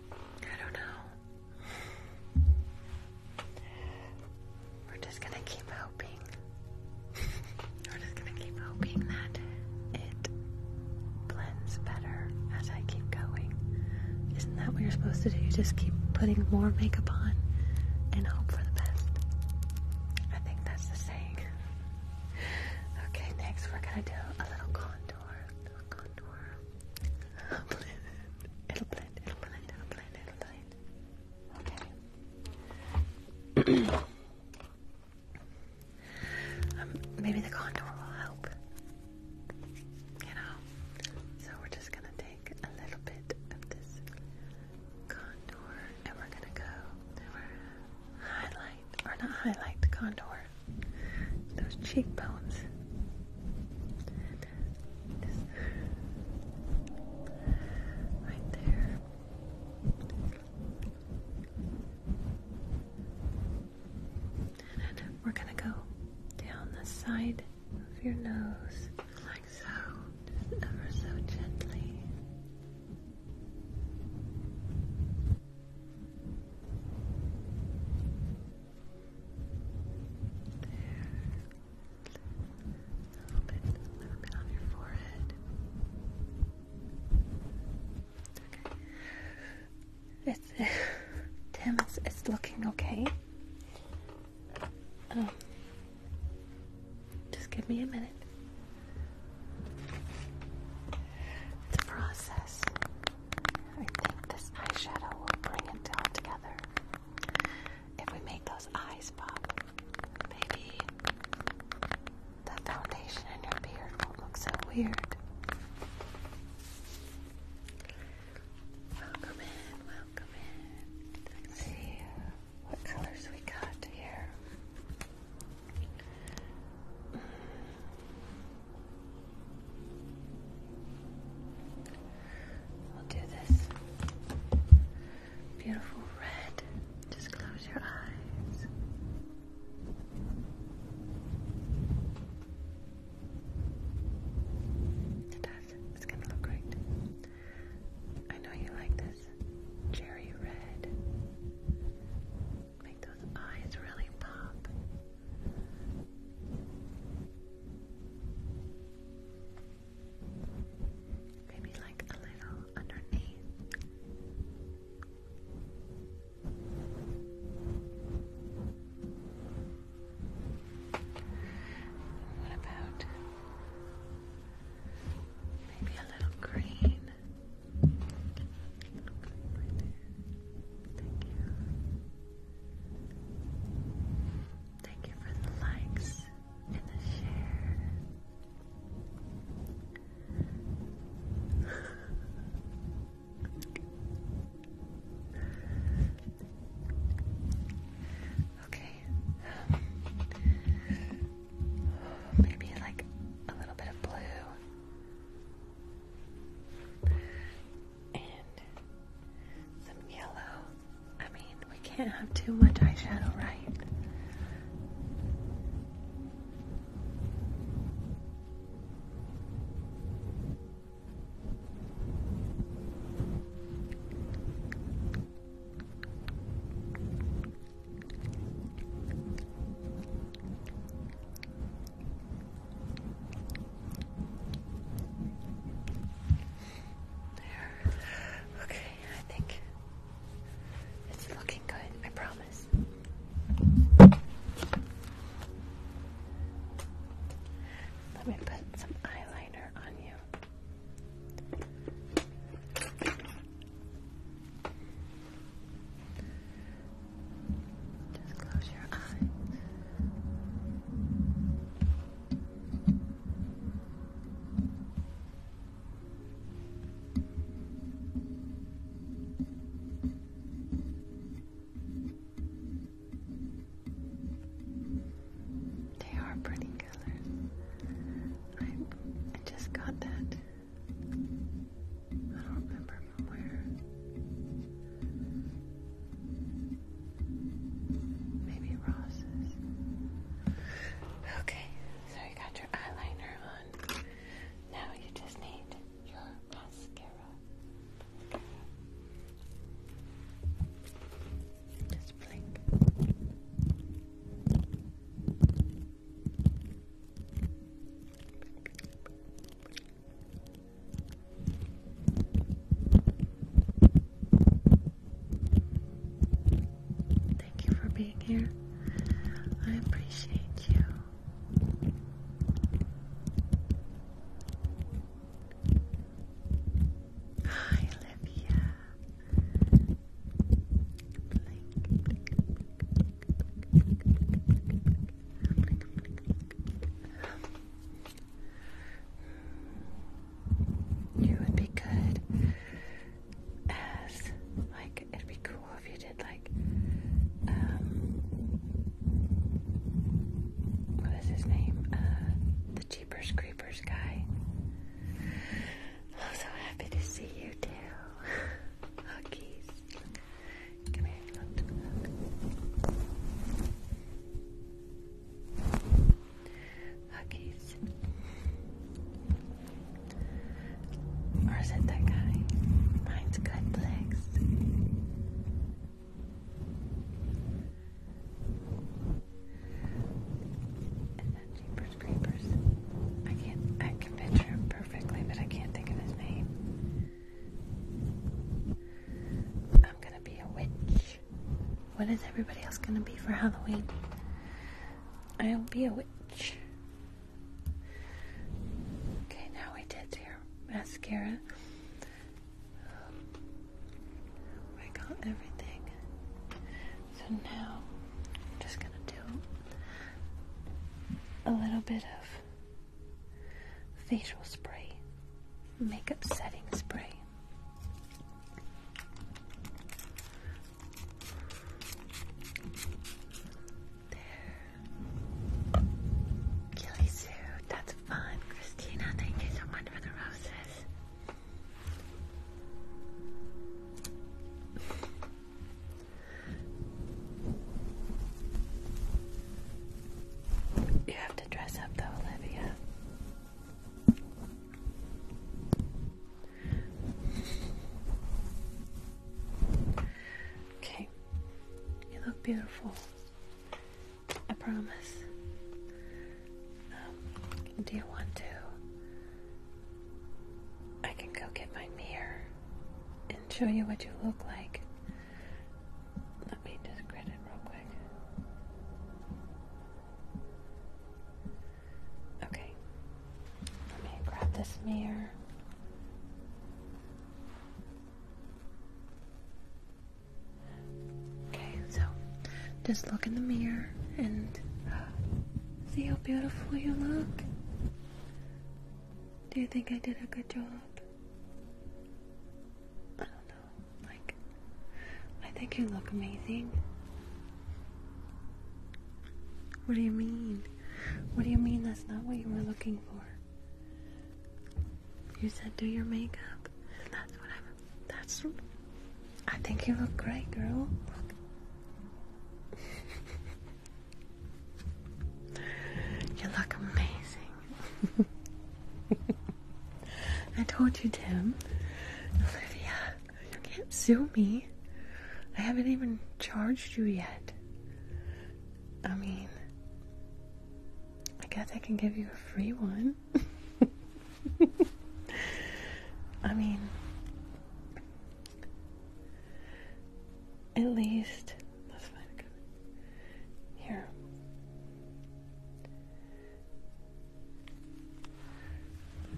Speaker 1: I don't know. We're just gonna keep hoping. We're just gonna keep hoping that it blends better as I keep going. Isn't that what you're supposed to do? You just keep putting more makeup on and hope for the best. I think that's the saying. Okay, next we're gonna do a little contour. It'll blend. It'll blend. It'll blend. It'll blend. Okay. Um, maybe the contour will help. You know. So we're just gonna take a little bit of this contour and we're gonna go highlight, or not highlight, contour those cheekbones. right there. And we're gonna go down the side Move your nose, like so, ever so gently. A little bit, a little bit on your forehead. Okay. It's Tim. It's, it's looking okay. Um, just give me a minute. It's a process. I think this eyeshadow will bring it all together. If we make those eyes pop, maybe the foundation in your beard won't look so weird. Welcome in, welcome in. Let's see what colors we got here. We'll do this beautiful red. Just close your eyes. It's gonna look great. I know you like this cherry red. Make those eyes really pop. Maybe like a little underneath. What about maybe a little green? Thank you. Thank you for the likes and the share. Okay. Maybe like a little bit of blue and some yellow. I mean, we can't have too much eyeshadow, right? There. Okay, I think it's looking good, I promise. Let me put some eyeliner on you. Just close your eyes. Just they are pretty colors. I, just got that. I don't remember where. Maybe Ross's. Okay, so you got your eyeliner on. Now you just need your mascara. Thank you for being here. I appreciate you. Hi, Olivia. You would be good as like it'd be cool if you did like um what is his name? Uh, Jeepers Creepers guy. I'm so happy to see you too. Huggies. Come here, Huggies. Or is it that guy? Mine's good legs. And then Jeepers Creepers. I can't, I can picture him perfectly, but I can't think of his name. I'm gonna be a witch. What is everybody else gonna be for Halloween? I'll be a witch. Okay, now we did your mascara. I got everything. So now I'm just gonna do a little bit of facial spray, makeup setting spray. There. Gilly Sue, that's fun. Christina, thank you so much for the roses. You have to dress up, though, Olivia. Okay, you look beautiful. I promise. Um, do you want to? I can go get my mirror and show you what you look like. Let me just real quick. Okay. Let me grab this mirror. Okay, so just look in the mirror and see how beautiful you look. Do you think I did a good job? I don't know. Like, I think you look amazing. What do you mean? What do you mean that's not what you were looking for? You said do your makeup, that's what I'm that's. I think you look great, girl. you look amazing. I told you, Tim. Olivia, you can't sue me. I haven't even charged you yet. I mean, I guess I can give you a free one. I mean, at least let's here.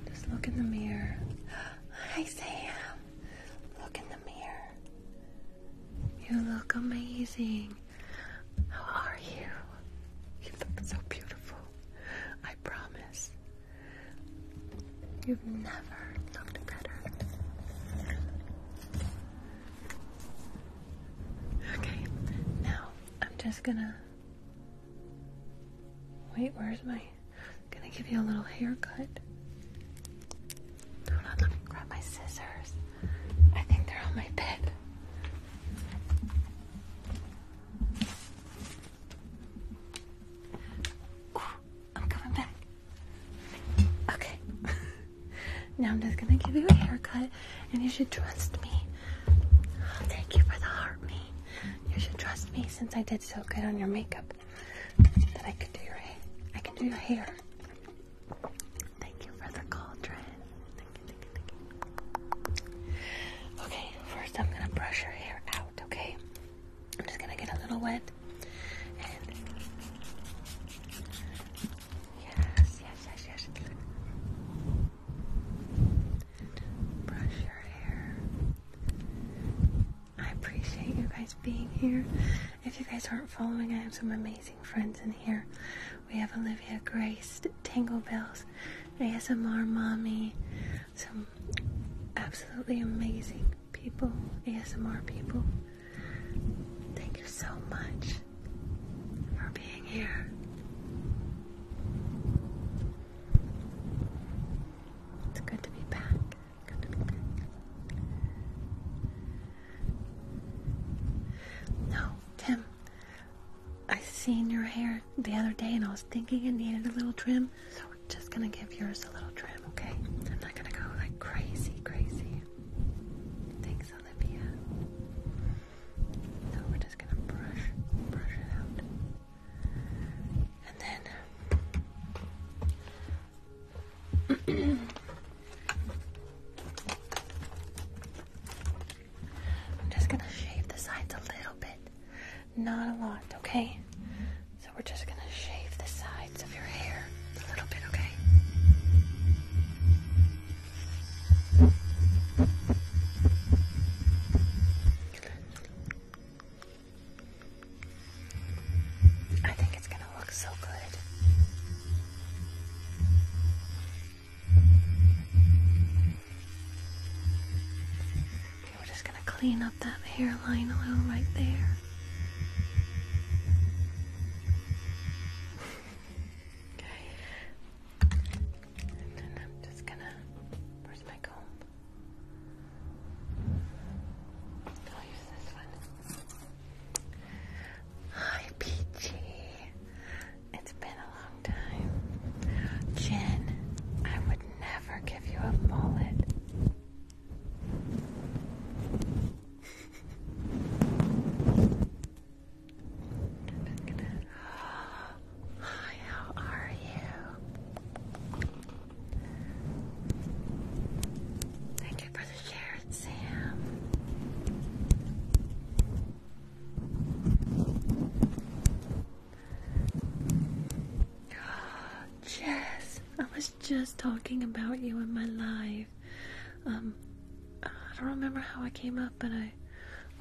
Speaker 1: Just look in the mirror. Hi, Sam. Look in the mirror. You look amazing. How are you? You look so beautiful. I promise. You've never looked better. Okay, now I'm just gonna. Wait, where's my. gonna give you a little haircut. Hold on, let me grab my scissors. I think they're on my bed. Ooh, I'm coming back. Okay. now I'm just gonna give you a haircut, and you should trust me. Oh, thank you for the heart, me. You should trust me since I did so good on your makeup that I could do your hair. I can do your hair. Thank you for the cauldron. The Okay, first I'm gonna brush your hair out, okay? I'm just gonna get a little wet. yes, yes, yes, yes. Brush your hair. I appreciate you guys being here. If you guys aren't following, I have some amazing friends in here. We have Olivia Grace, Tango Bells, ASMR Mommy, some absolutely amazing people, ASMR people. Thank you so much for being here. It's good to be back. Good to be back. No, Tim, I've seen your hair the other day and I was thinking it needed a little trim, so we're just gonna give yours a little trim, okay? I'm not gonna go like crazy, crazy. Thanks, Olivia. So we're just gonna brush, brush it out. And then I'm just gonna shave the sides a little bit, not a lot, okay? So we're just gonna shave the sides of your hair a little bit, okay? I think it's gonna look so good we're just gonna clean up that hairline a little right there. okay. And then I'm just gonna. Where's my comb? I'll use this one. Hi, Peachy. It's been a long time. Jen, I would never give you a mullet. how are you? Thank you for the share, Sam. Jess, I was just talking about you in my life. Um, I don't remember how I came up, but I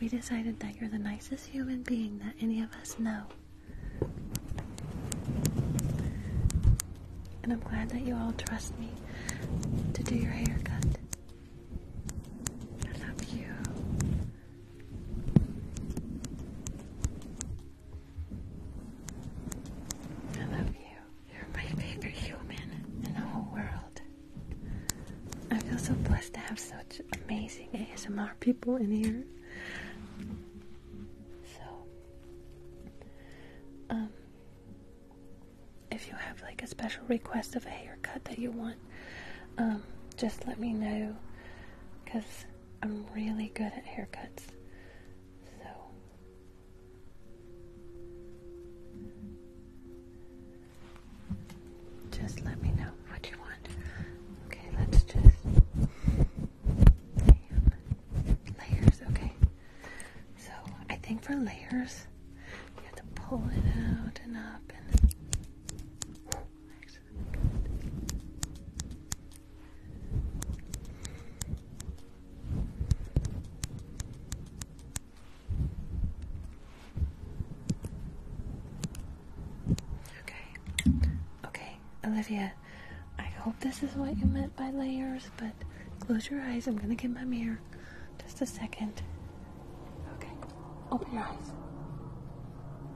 Speaker 1: we decided that you're the nicest human being that any of us know. And I'm glad that you all trust me to do your haircut. I love you. I love you. You're my favorite human in the whole world. I feel so blessed to have such amazing ASMR people in here. So, um, if you have like a special request of a haircut that you want um, just let me know because I'm really good at haircuts. So, just let me know what you want. Okay, let's just. Layers, okay. So, I think for layers, you have to pull it out and up and. Okay. Okay, Olivia, I hope this is what you meant by layers, but close your eyes. I'm gonna get my mirror. Just a second. Okay, open your eyes.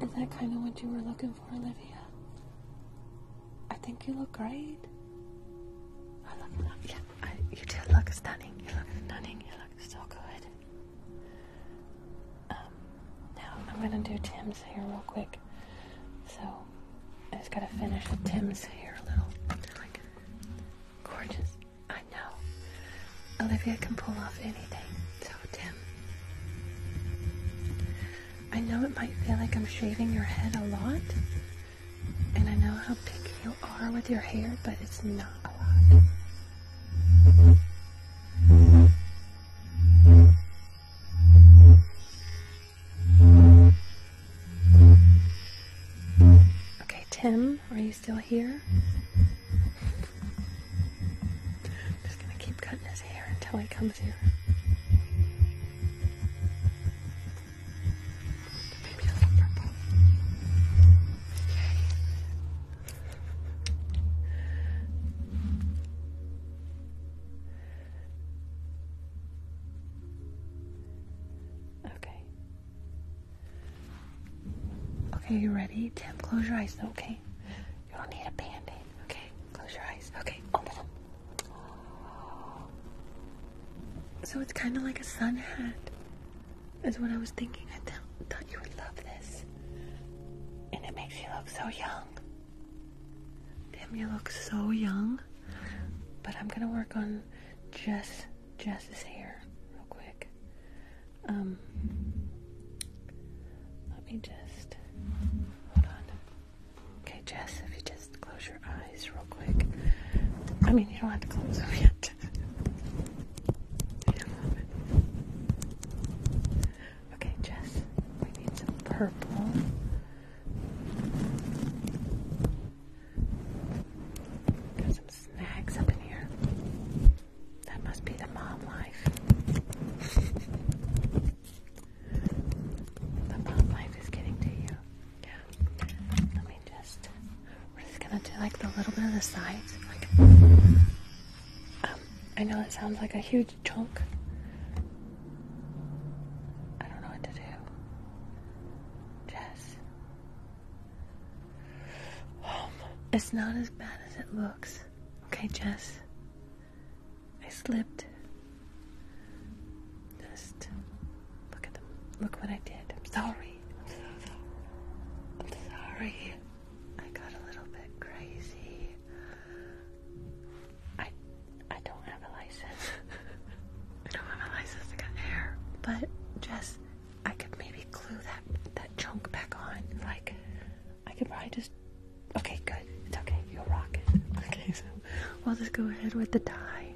Speaker 1: Is that kind of what you were looking for, Olivia? I think you look great. I look, look yeah, you do look stunning. You look stunning. You look so good. Um, now I'm gonna do Tim's hair real quick. So I just gotta finish with Tim's hair a little. gorgeous. I know. Olivia can pull off anything, so Tim. I know it might feel like I'm shaving your head a lot, and I know how picky you are with your hair, but it's not a lot.
Speaker 2: Okay, Tim, are you still here? I'm just gonna keep cutting his hair until he comes here.
Speaker 1: Maybe a little purple. Okay. Okay, you ready? Tim, close your eyes, okay? You don't need a band aid, okay? Close your eyes, okay? Open them. So it's kind of like a sun hat, is what I was thinking. I thought you would love this. And it makes you look so young. Damn, you look so young. But I'm gonna work on just Jess's hair real quick. Um, let me just hold on. Okay, Jess, if you just close your eyes real quick. I mean, you don't have to close them yet. okay, Jess, we need some purple. Got some snacks up in here. That must be the mom life. the mom life is getting to you. Yeah. Let me just. We're just gonna do like the little bit of the sides. Um, I know it sounds like a huge chunk. I don't know what to do. Jess. Um, it's not as bad as it looks. Okay, Jess. I slipped. Just look at them. Look what I did. I'm sorry. I'm sorry. i got a little bit crazy. I I don't have a license. I don't have a license to cut hair. But Jess, I could maybe glue that that chunk back on. Like I could probably just Okay, good. It's okay. You're rocking. Okay, so we'll just go ahead with the dye.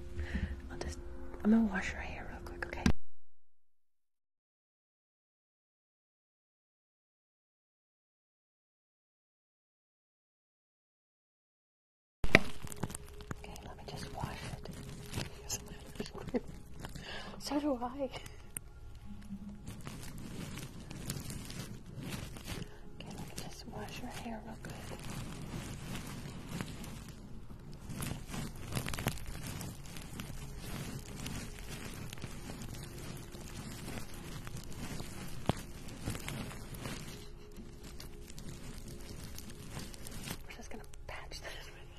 Speaker 1: I'll just, I'm gonna wash your hair real quick, okay? Okay, let me just wash it. so do I. Okay, let me just wash your hair real good. We're just gonna patch this with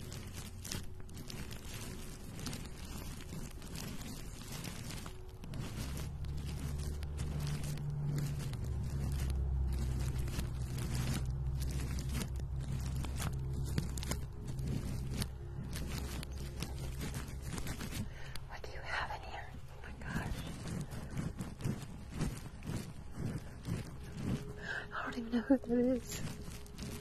Speaker 1: you. What do you have in here? Oh my gosh. I don't even know who that is.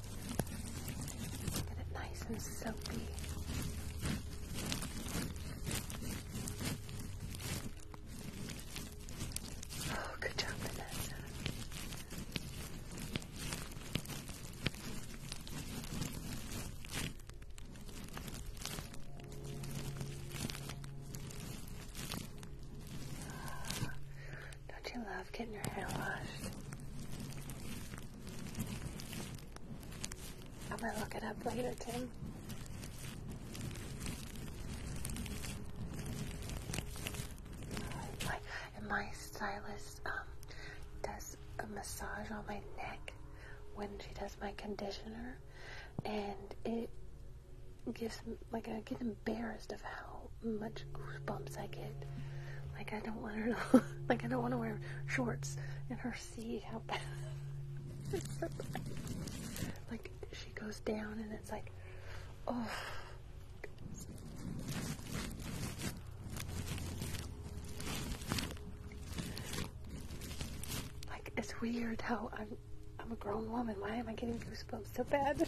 Speaker 1: Get it nice and soapy. Oh, good job, Vanessa. Don't you love getting your hair washed? i might look it up later, Tim. my, my stylist um, does a massage on my neck when she does my conditioner, and it gives like I get embarrassed of how much goosebumps I get. Like I don't want her to, like I don't want to wear shorts and her see how bad. like she goes down and it's like, oh. Like it's weird how I'm, I'm a grown woman. Why am I getting goosebumps so bad?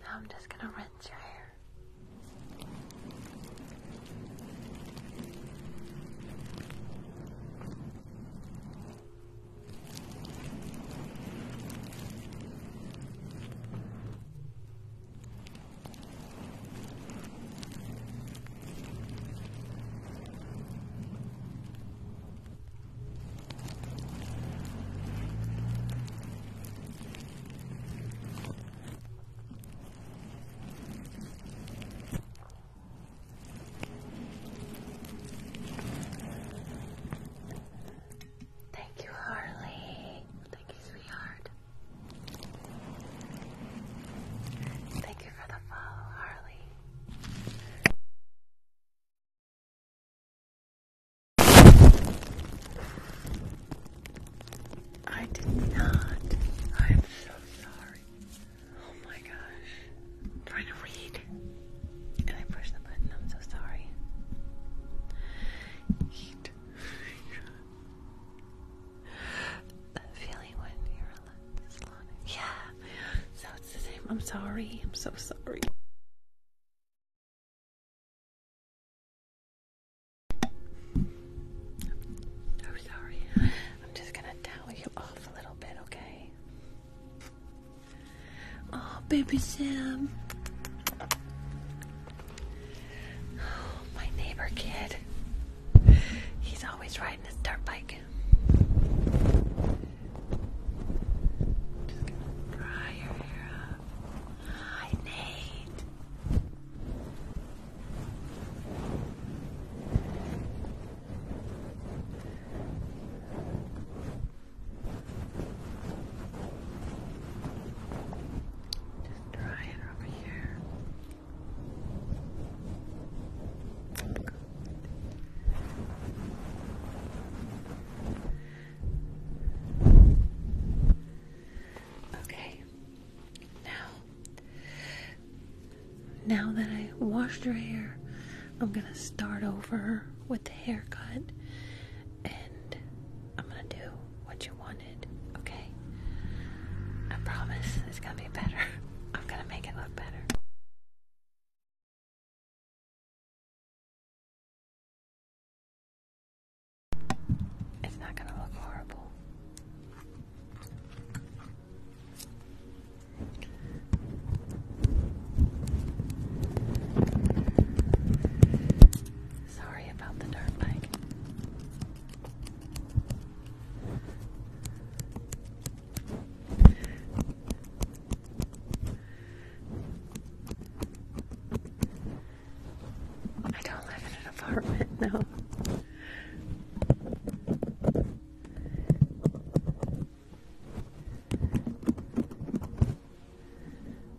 Speaker 1: Now I'm just going to rinse your hair. Thank you, Harley. Thank you, sweetheart. Thank you for the follow, Harley. I did not. I'm so sorry. Oh my gosh. trying to read. And I pushed the button. I'm so sorry. Heat. That feeling when you relax, yeah. So it's the same.
Speaker 2: I'm sorry. I'm so sorry.
Speaker 1: I'm sorry. I'm just gonna towel you off a little bit, okay? Oh, baby Sam. my neighbor kid. He's always riding his dirt bike. Just gonna dry your hair up. Hi, Nate. Just dry it over here. Okay. Now, now that I washed your hair, I'm gonna start over with the haircut, and I'm gonna do what you you wanted, okay? I promise it's gonna be better.
Speaker 2: I'm gonna make it look better. It's not gonna look horrible. Sorry about the dirt bike.
Speaker 1: I don't live in an apartment, no.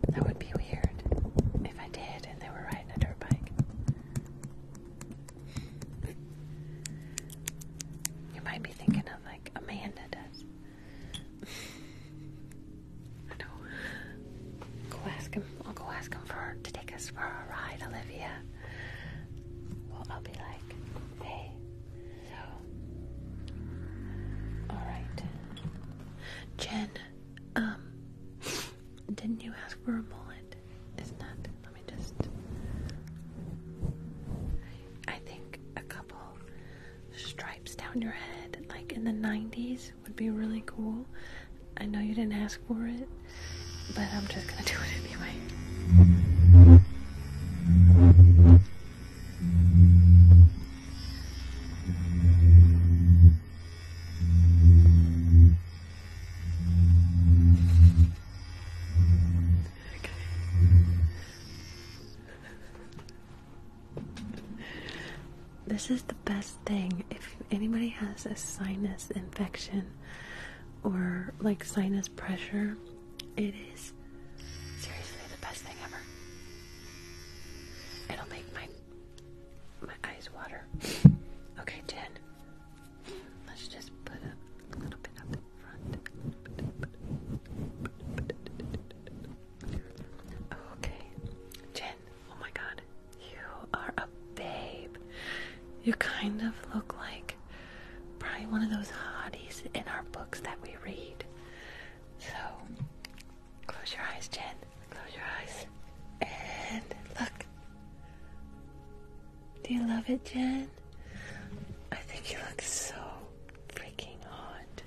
Speaker 1: That would be weird if I did and they were riding a dirt bike. You might be thinking of like Amanda does. I know. Go ask him. I'll go ask him for to take us for a ride, Olivia. Well, I'll be like, hey, so, all right, Jen. Um, didn't you ask for a mullet? Let me just. I think a couple stripes down your head, like in the 90s, would be really cool. I know you didn't ask for it, but I'm just gonna do it anyway. This is the best thing. If anybody has a sinus infection or like sinus pressure, it is seriously the best thing ever. It'll make my my eyes water. Okay, ten. Let's just put a little bit up in front. Okay, Jen. Oh my God, you are a babe. You kind of look like probably one of those hotties in our books that we read. So close your eyes, Jen. Close your eyes and look. Do you love it, Jen? I think you look so freaking hot.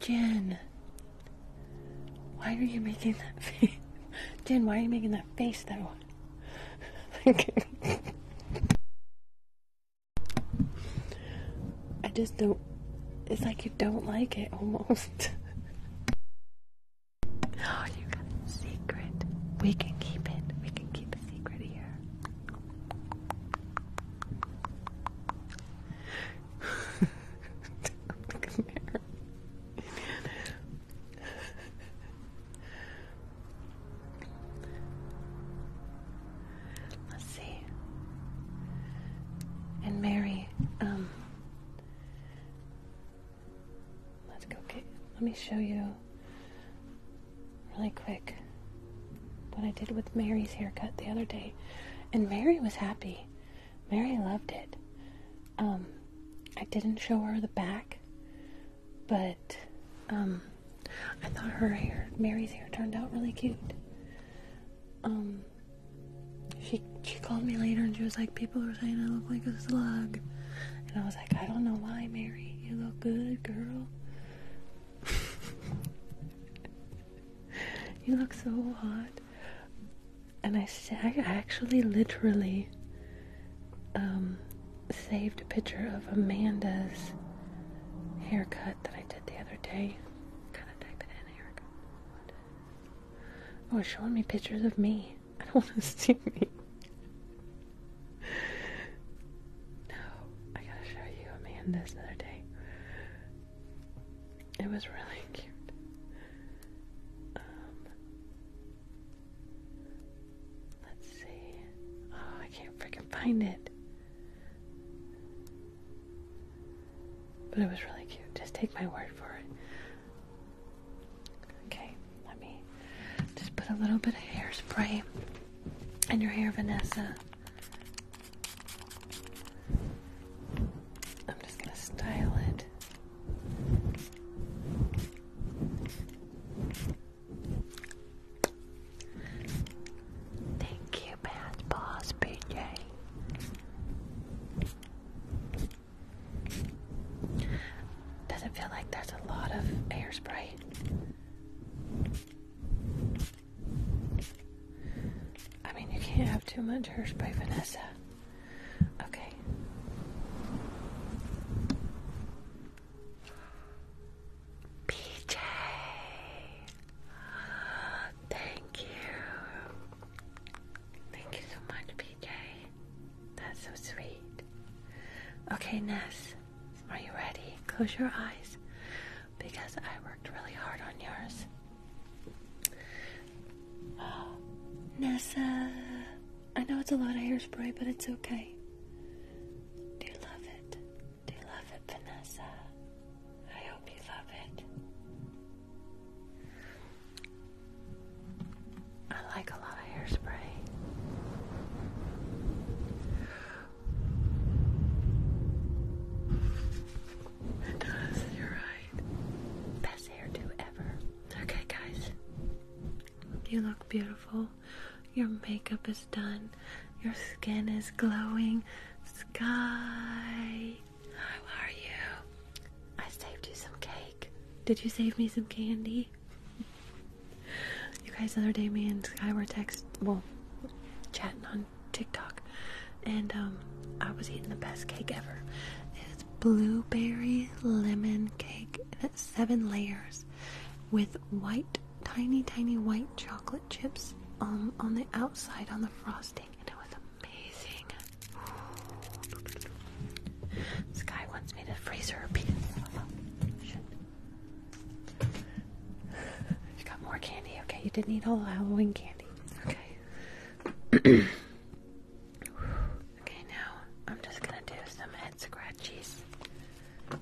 Speaker 1: Jen, why are you making that face? Jen, why are you making that face though? okay. I just don't it's like you don't like it almost. oh, you got a secret. We can keep it. We can keep a secret here. Let's see. And Mary, um, Let's go get. Let me show you really quick what I did with Mary's haircut the other day, and Mary was happy. Mary loved it. Um, I didn't show her the back, but um, I thought her hair, Mary's hair, turned out really cute. Um, she she called me later and she was like, people are saying I look like a slug, and I was like, I don't know why, Mary. You look good, girl. you look so hot. And I, said, I actually literally um, saved a picture of Amanda's haircut that I did the other day. Oh, showing me pictures of me. I don't want to see me. No, I gotta show you a man this another day. It was really cute. Um, let's see. Oh, I can't freaking find it. But it was really cute. Just take my word for it. Okay, let me just put a little bit of hairspray in your hair, Vanessa. I'm just going to style it. Thank you, Bath Boss BJ does it feel like there's a lot of hairspray. I mean, you can't have too much hairspray, Vanessa. Okay. PJ, thank you. Thank you so much, PJ. That's so sweet. Okay, Ness, are you ready? Close your eyes because I worked really hard on yours. Oh, I know it's a lot of hairspray, but it's okay. Do you love it? Do you love it, Vanessa? I hope you love it. I like a lot of hairspray. It does, you're right. Best hairdo ever. Okay, guys. You look beautiful. Your makeup is done. Your skin is glowing. Sky how are you? I saved you some cake. Did you save me some candy? you guys, the other day, me and Sky were text, well, chatting on TikTok, and um, I was eating the best cake ever. It's blueberry lemon cake, and it's seven layers with white, tiny, tiny white chocolate chips um, on the outside on the frosting, and it was this guy wants me to freeze her pizza. Oh, got more candy. Okay, you didn't eat all the Halloween candy. Okay. okay, now I'm just gonna do some head scratchies. Okay.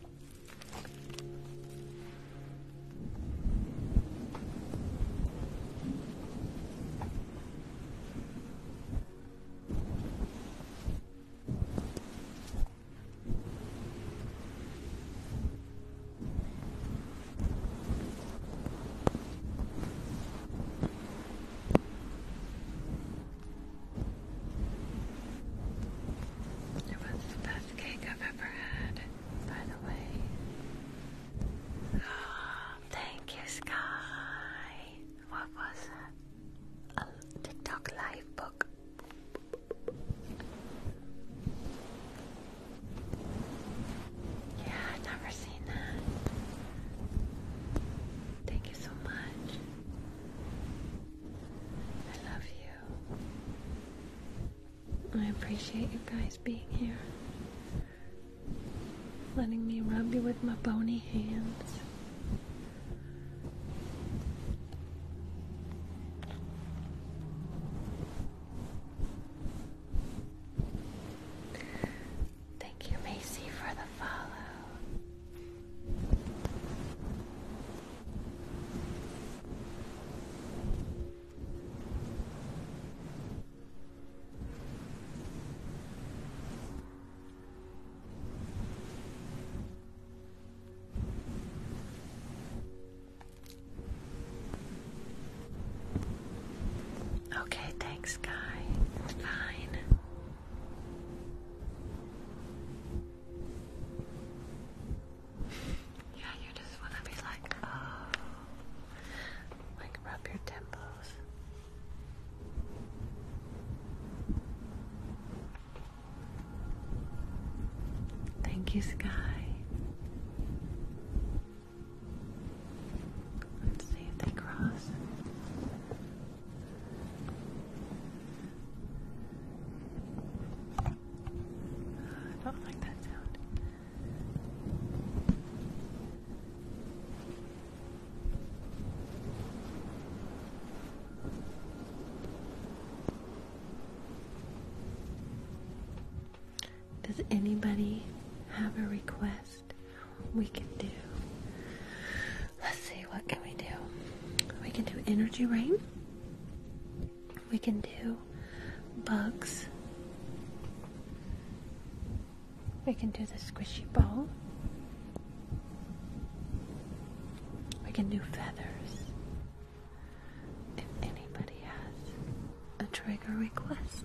Speaker 1: It was the best cake I've ever had, by the way. Ah, Thank you, Sky. What was A TikTok live book. Yeah, I've never seen that. Thank you so much. I love you. I appreciate you guys being here letting me rub you with my bony hands. Thank you, Macy, for the follow. Okay, thanks, Guy. Fine. Yeah, you just want to be like, oh. Like rub your temples. Thank you, Sky. Let's see if they cross. don't like that sound. Does anybody have a request we can do? Let's see, what can we do? We can do energy rain. We can do bugs. We can do the squishy ball. We can do feathers. If anybody has a trigger request.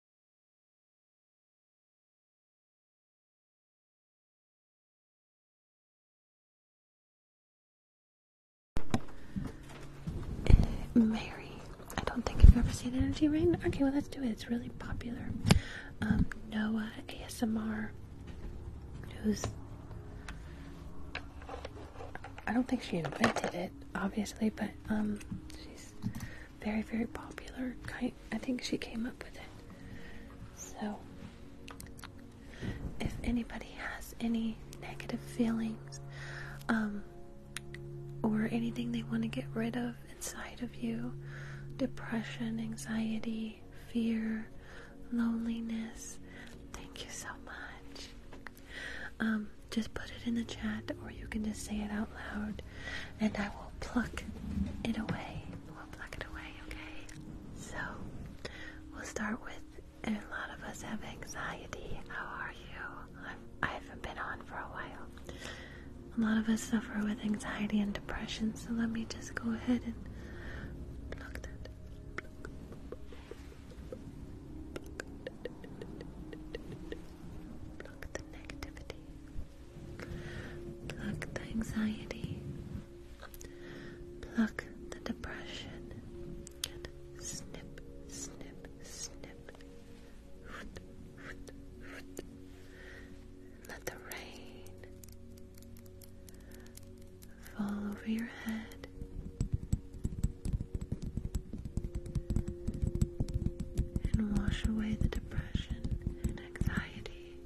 Speaker 1: Mary. I don't think you've ever seen Energy Rain. Okay, well, let's do it. It's really popular. Um, Noah ASMR, who's. I don't think she invented it, obviously, but um, she's very, very popular. I, think she came up with it. So, if anybody has any negative feelings um, or anything they want to get rid of inside of you, depression, anxiety, fear, loneliness, thank you so much. Um, just put it in the chat or you can just say it out loud and I will pluck it away. We'll pluck it away, okay? So, we'll start with a lot of us have anxiety. How are you? I'm, I haven't been on for a while. A lot of us suffer with anxiety and depression, so let me just go ahead and pluck that. Pluck the negativity. Pluck the anxiety. Pluck the depression. And snip, snip, snip. Let the rain fall over your head. And wash away the depression and anxiety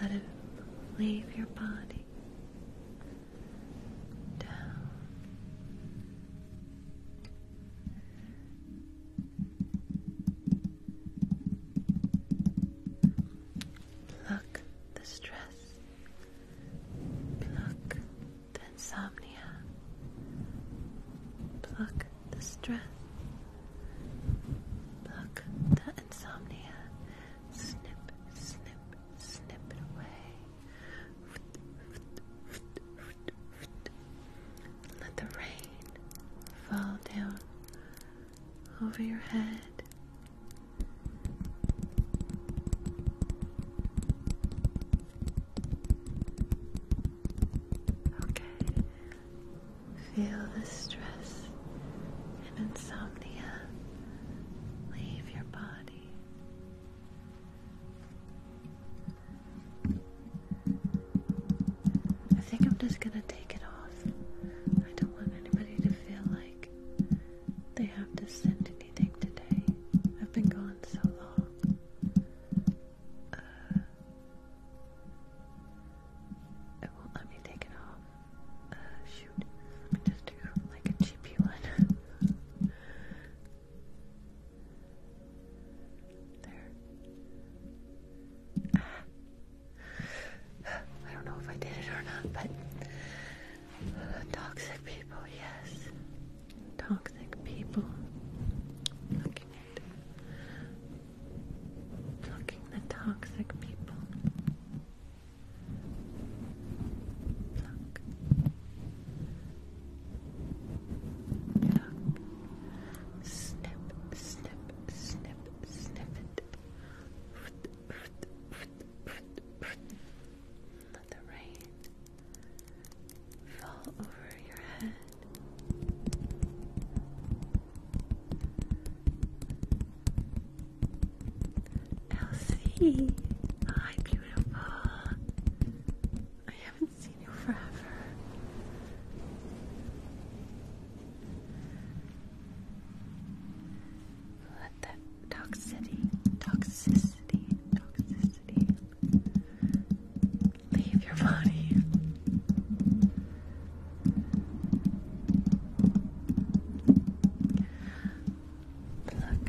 Speaker 1: let it leave your body down. Pluck the stress, pluck the insomnia, pluck the stress. Pluck the insomnia. Snip, snip, snip it away. Let the rain fall down over your head. Okay, Feel the stress and insomnia leave your body. I think I'm just gonna take it off. I don't want anybody to feel like they have to send anything today. I've been gone so long. Uh, oh, let me take it off. Uh, shoot. Let me just do like a cheapy one. there. Ah. I don't know if I did it or not, but toxic people, yes. Toxic people. Plucking the toxic people. Snip, snip, snip, snip it. Let the rain fall over your head. Elsie, hi, beautiful. I haven't seen you forever. Let that toxicity, toxicity, toxicity leave your body. Pluck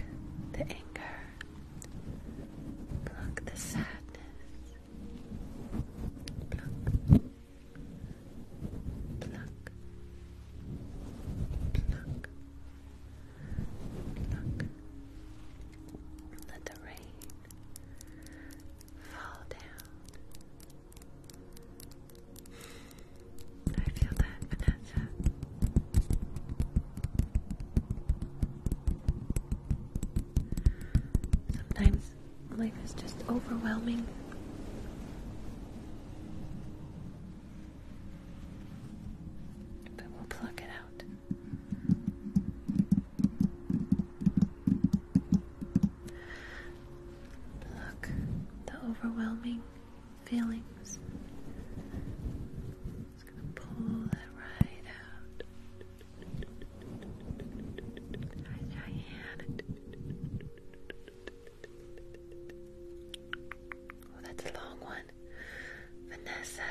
Speaker 1: the anger, pluck the sadness, pluck, pluck, pluck, pluck. Let the rain fall down. I feel that, Vanessa. Sometimes life is just overwhelming. But we'll pluck it out. Look, the overwhelming feelings. Just gonna pull that right out. Hi, Diane. Oh, that's a long one. Vanessa.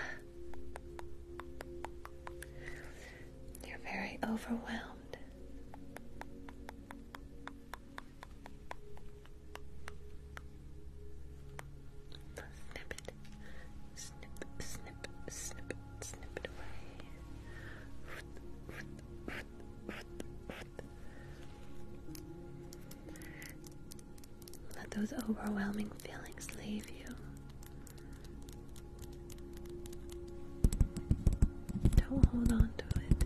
Speaker 1: You're very overwhelmed.
Speaker 2: Snip it. Snip, snip,
Speaker 1: snip, snip it away. Let those overwhelming feelings leave you. Don't hold on to it.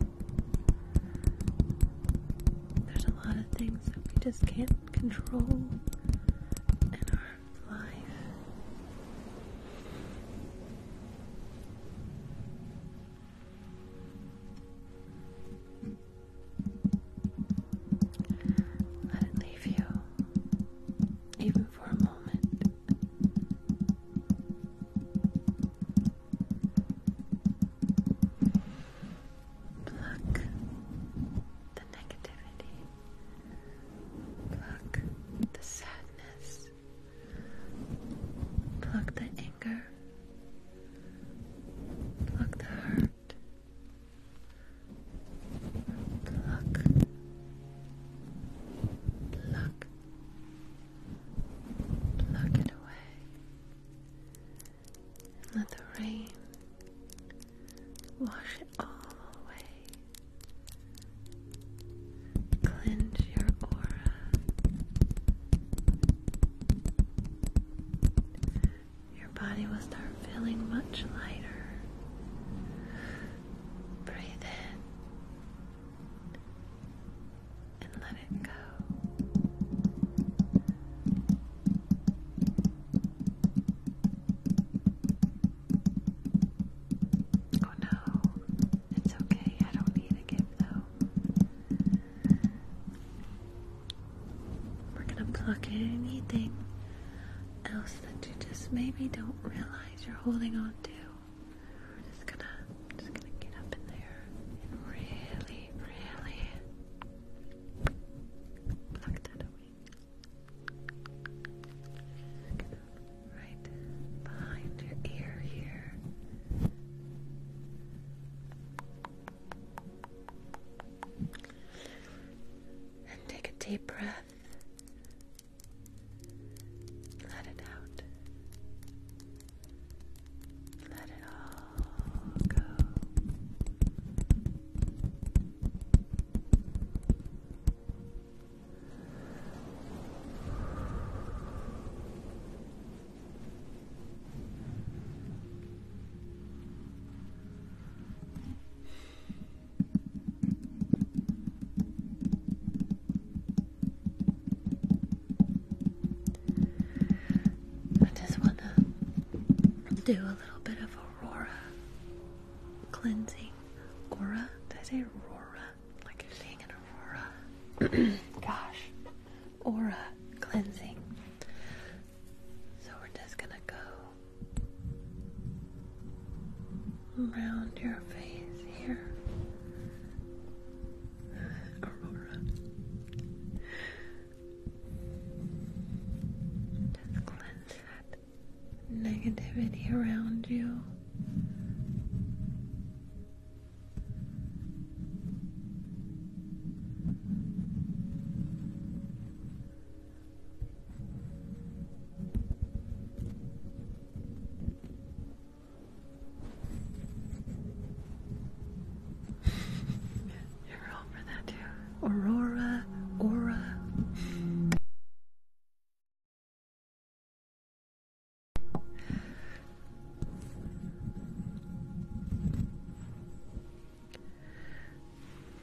Speaker 1: There's a lot of things that we just can't control in our life. Let it leave you, even for a moment. Pluck the negativity, pluck the sadness, pluck the anger, pluck the hurt, pluck Pluck. Pluck it away. let the rain wash it all away. Cleanse your aura. Your body will start feeling much lighter. Breathe in and let it go. Oh no, it's okay. I don't need a gift though. We're gonna pluck in anything else that you just maybe don't realize you're holding on to. We're just gonna, just gonna get up in there and really, really pluck that away. right behind your ear here. And take a deep breath let it out. Let it all go. I just want to do a little bit of Aurora cleansing. Aura? Did I say Aurora? Like you seeing an Aurora. Gosh. Aura cleansing. So we're just gonna go around your face here. Uh, Aurora. Just cleanse that negativity around you.
Speaker 2: You're wrong for that too. Aurora, aura.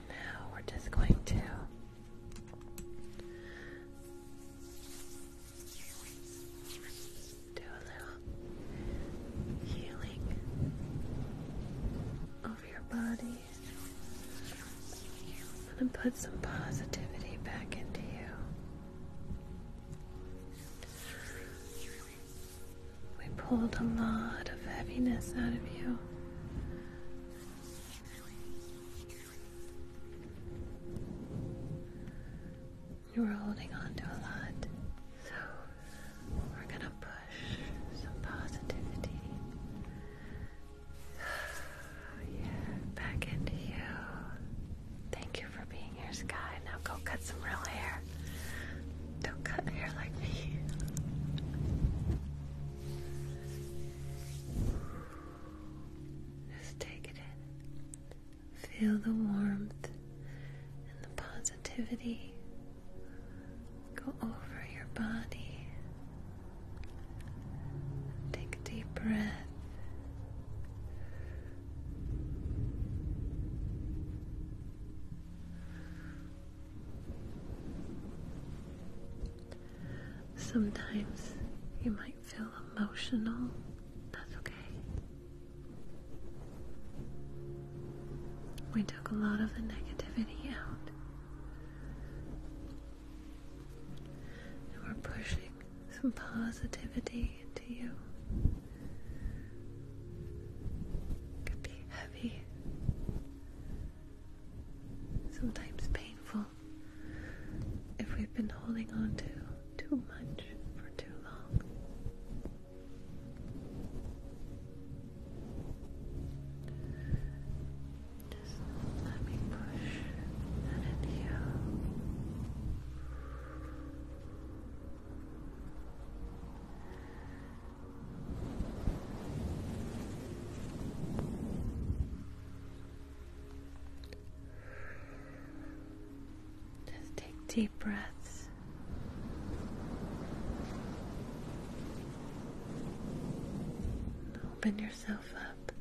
Speaker 1: Now we're just going to do a little healing over your body. going to put some positivity back into you. We pulled a lot of heaviness out of you. You are holding on to a lot, so we're gonna push some positivity. back into you. Thank you for being here, Sky. Now go cut some real hair. Don't cut hair like me. Just take it in. Feel the warmth and the positivity go over your body. Take a deep breath. Sometimes you might feel emotional, that's okay. We took a lot of the negativity out. And we're pushing some positivity into you. could be heavy, sometimes painful if we've been holding on to too much for too long. Just let me push that in just take deep breaths. Open yourself up.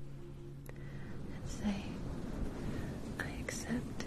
Speaker 1: And say, I accept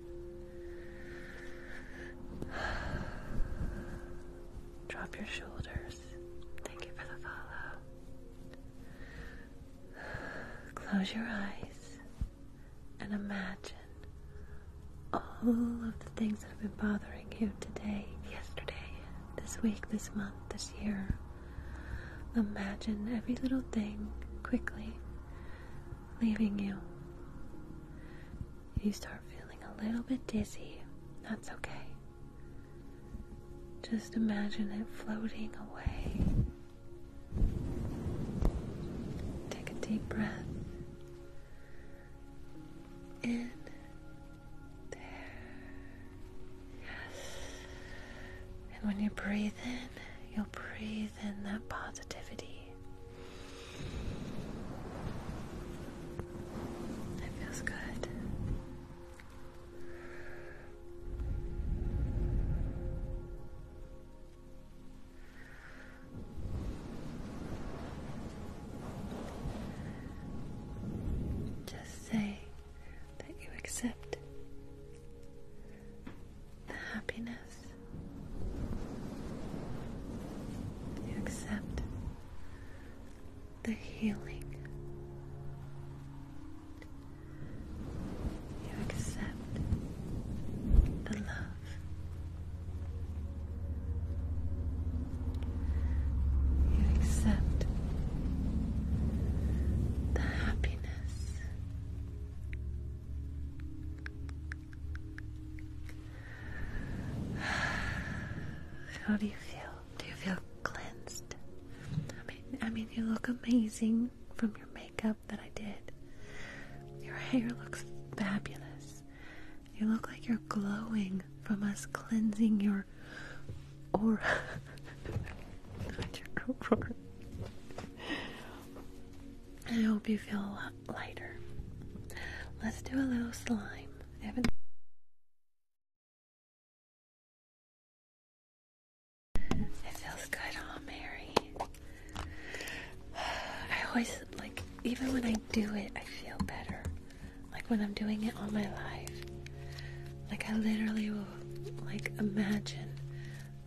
Speaker 1: Drop your shoulders. Thank you for the follow. Close your eyes and imagine all of the things that have been bothering you today, yesterday, this week, this month, this year. Imagine every little thing quickly leaving you you start feeling a little bit dizzy, that's okay. Just imagine it floating away. Take a deep breath in there. Yes. And when you breathe in, you'll breathe in that positivity. That feels good. Just say that you accept the happiness you accept the healing. You accept the love. You accept the happiness. How do you feel? Do you feel cleansed? I mean, I mean, you look amazing from your makeup that I did. Your hair looks fabulous. You look like you're glowing from us cleansing your aura. I hope you feel a lot Let's do a little slime. it feels good, oh Mary. I always like even when I do it I feel better. Like when I'm doing it all my life. Like I literally will like imagine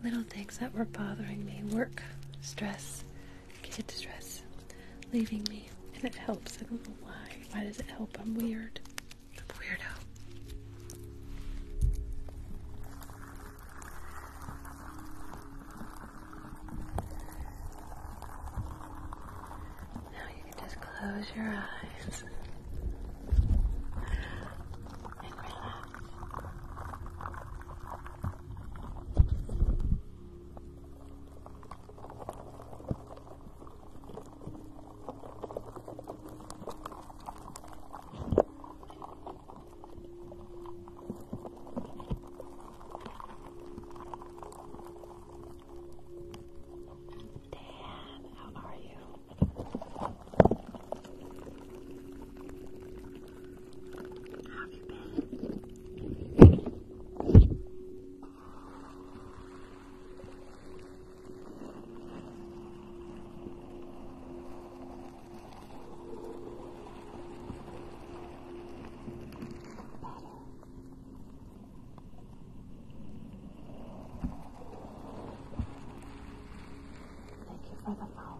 Speaker 1: little things that were bothering me, work, stress, get distress leaving me, and it helps. I don't know why. Why does it help? I'm weird. I'm a weirdo. Now you can just close your eyes Dan, how are you? How have you been? Thank you for the follow.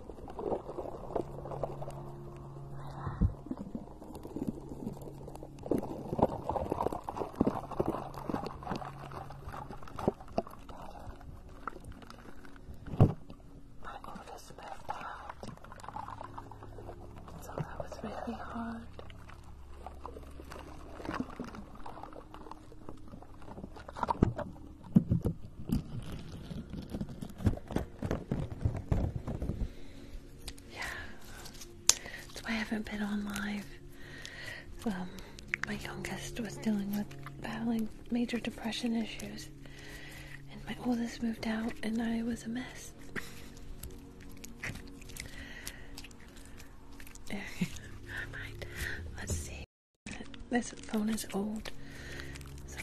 Speaker 1: My oldest left out, so that was really hard. Yeah, that's why I haven't been on live. Um, my youngest was dealing with battling major depression issues, and my oldest moved out, and I was a mess. All right. Let's see. This phone is old, so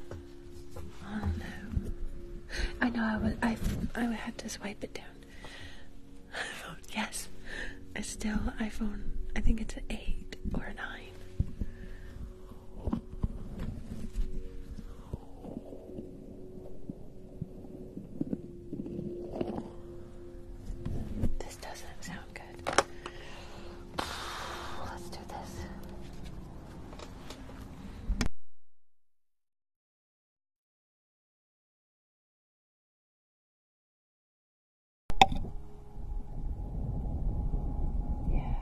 Speaker 1: oh, I know. I know I would. I I would have to swipe it down. yes, it's still iPhone. I think it's an eight or a nine. This doesn't sound good. Let's do this. Yeah,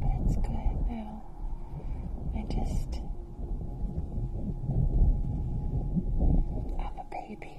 Speaker 1: that's good now. I just. i a baby.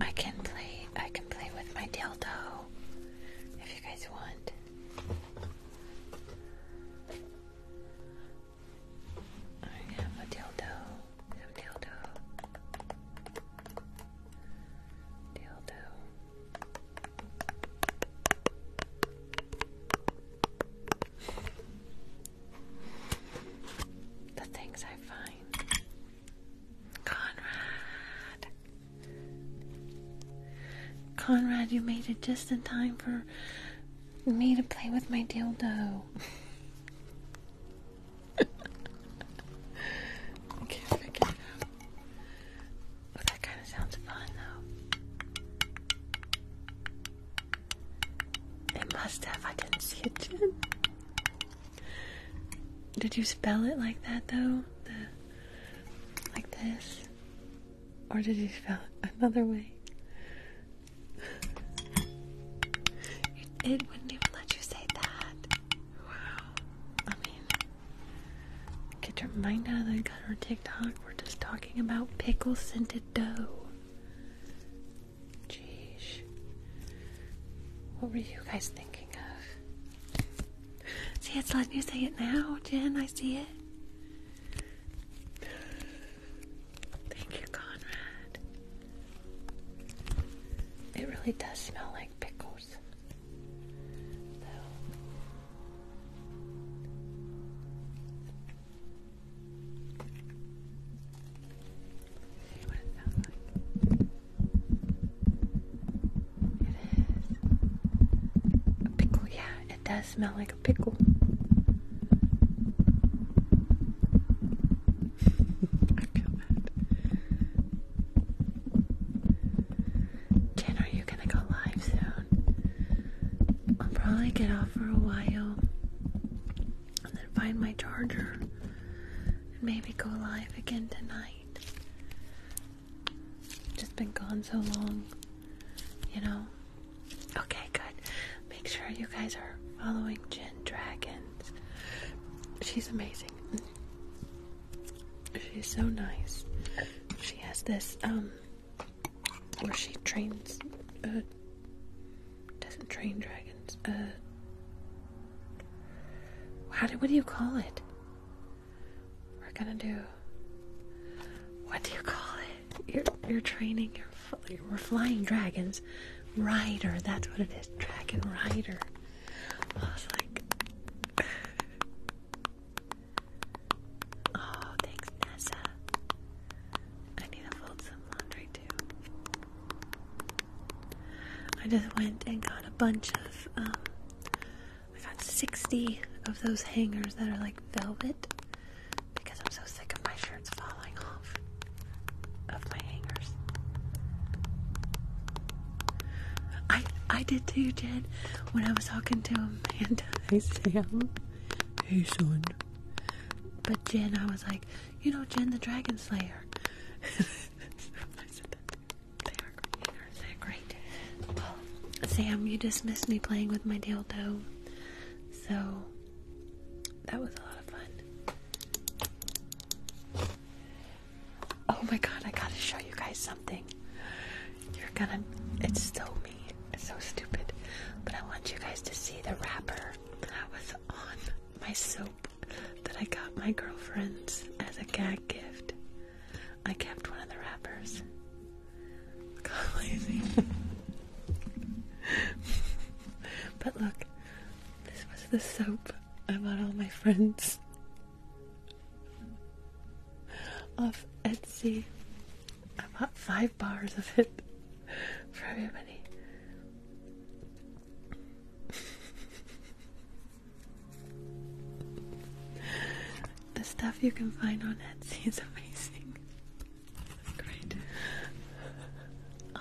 Speaker 1: I can play I can play with my dildo if you guys want. I have a dildo. have a dildo. Dildo. The things I find. Conrad. Conrad, you made it just in time for me to play with my dildo. I can't figure out. that kind of sounds fun, though. It must have. I didn't see it, did you spell it like that though? like this? Or did you spell it another way? It, it wouldn't even let you say that. Wow. I mean, get your mind out of the gutter, TikTok. We're just talking about pickle scented dough. Jeez. What were you guys thinking of? See, it's letting you say it now, Jen. I see it. Thank you, Conrad. It really does smell like pickles. A pickle, yeah, it does smell like a pickle. I feel bad. Jen, are you gonna go live soon? I'll probably get off for a while and then find my charger and maybe go live again tonight. Just been gone so long, you know? Okay, good. Make sure you guys are following Jen Dragons. She's amazing. She's so nice. She has this, um, where she trains, uh, doesn't train dragons, uh, how do, what do you call it? We're gonna do. What do you call it? You're, you're training your we're flying dragons. Rider, that's what it is. Dragon Rider. I was like. oh, thanks, Nessa. I need to fold some laundry too. I just went and got a bunch of, um, I got 60 of those hangers that are like velvet because I'm so sick of my shirts falling off of my hangers. I I did too, Jen. When I was talking to Amanda, I said, hey son. But Jen, I was like, you know, Jen the Dragon Slayer. Sam, you dismissed me playing with my dildo. So, that was a lot of fun. Oh my god, I gotta show you guys something. You're gonna. It's so me. It's so stupid. But I want you guys to see the wrapper that was on my soap that I got my girlfriends as a gag gift. I kept one of the wrappers. God, lazy. but look, this was the soap I bought all my friends off Etsy. I bought five bars of it for everybody. The stuff you can find on Etsy is amazing. Great. Oh,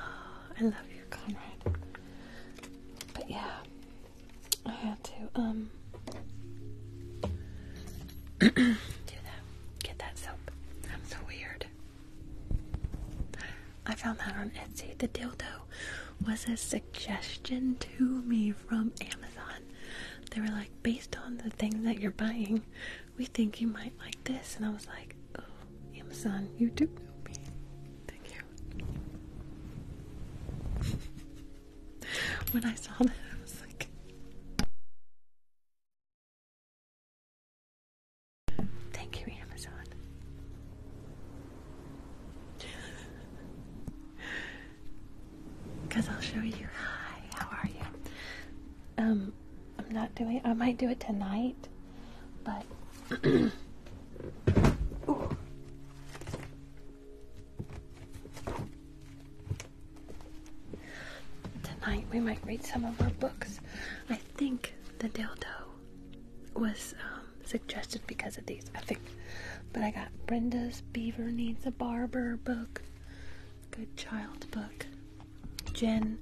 Speaker 1: I love you, Conrad. But yeah, I had to um do that. Get that soap. I'm so weird. I found that on Etsy. The dildo was a suggestion to me from Amazon. They were like, based on the thing that you're buying, we think you might like this. And I was like, oh, Amazon, you do know me. Thank you. when I saw that, I was like,
Speaker 2: Thank you, Amazon.
Speaker 1: Cause I'll show you. Hi, how are you? Um, I'm not doing. I might do it tonight, but. Tonight we might read some of our books. I think the dildo was um, suggested because of these, I think. But I got Brenda's Beaver Needs a Barber book, good child book. Jen,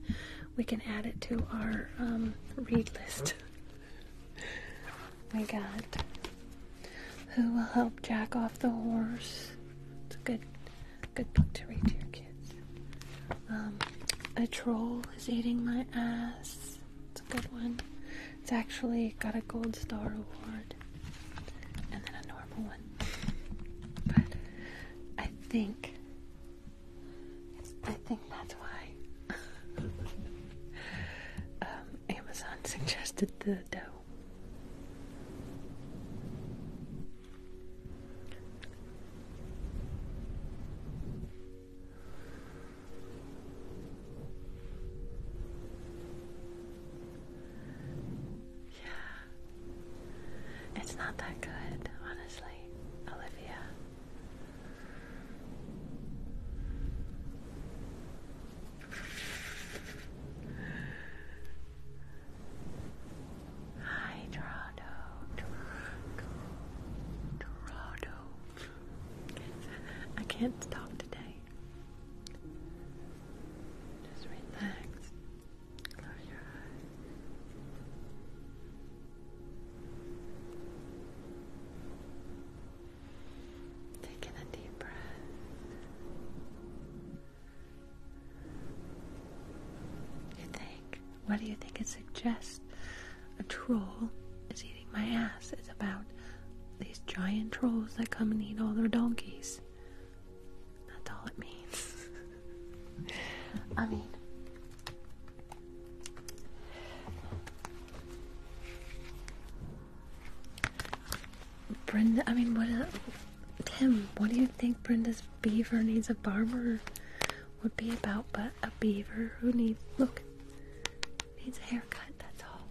Speaker 1: we can add it to our um, read list. we got Who Will Help Jack Off the Horse. It's a good, good book to read to your kids. Um, a troll is eating my ass. It's a good one. It's actually got a gold star award and then a normal one. But I think I think that's why um, Amazon suggested the dough. Yeah. It's not that good, honestly, Olivia. Hi, Dorado. I can't talk today. Just relax. Close your eyes. Take a deep breath. You think? What do you think it suggests? A troll is my ass. It's about these giant trolls that come and eat all their donkeys. That's all it means. I mean, Brenda, I mean, what a, uh, Tim, what do you think Brenda's beaver needs a barber would be about but a beaver who needs, look, needs a haircut, that's all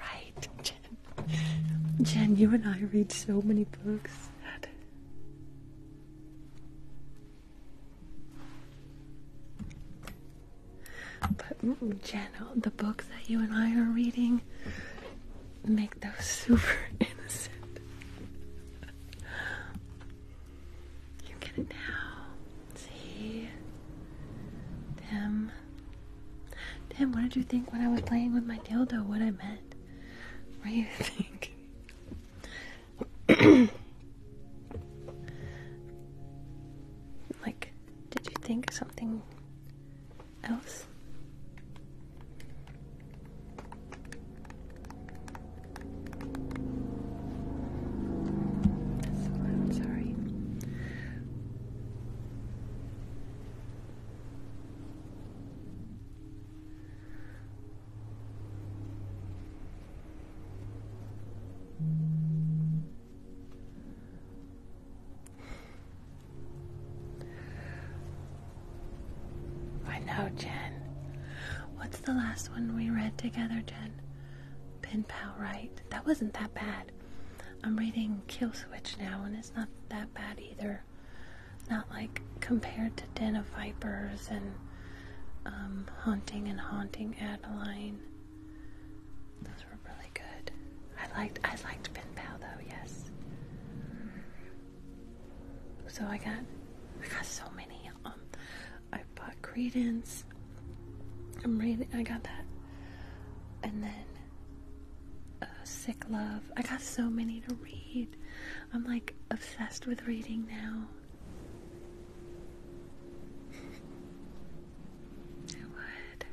Speaker 1: right, Jen. Jen, you and I read so many books. But Jen, the books that you and I are reading make those super innocent. You get it now. See? Tim. Tim, what did you think when I was playing with my dildo? What I meant? What do you think? like, did you think something else? That's so sorry. I know, Jen. What the last one we read together, Jen? Pen right? That wasn't that bad. I'm reading Kill Switch now, and it's not that bad either. Not like compared to Den of Vipers and um, Haunting and Haunting Adeline. Those were really good. I liked I liked Pen though, yes. So I got I got so many. Um, I bought Credence. I'm reading. I got that, and then uh, Sick Love. I got so many to read. I'm like obsessed with reading now. I would.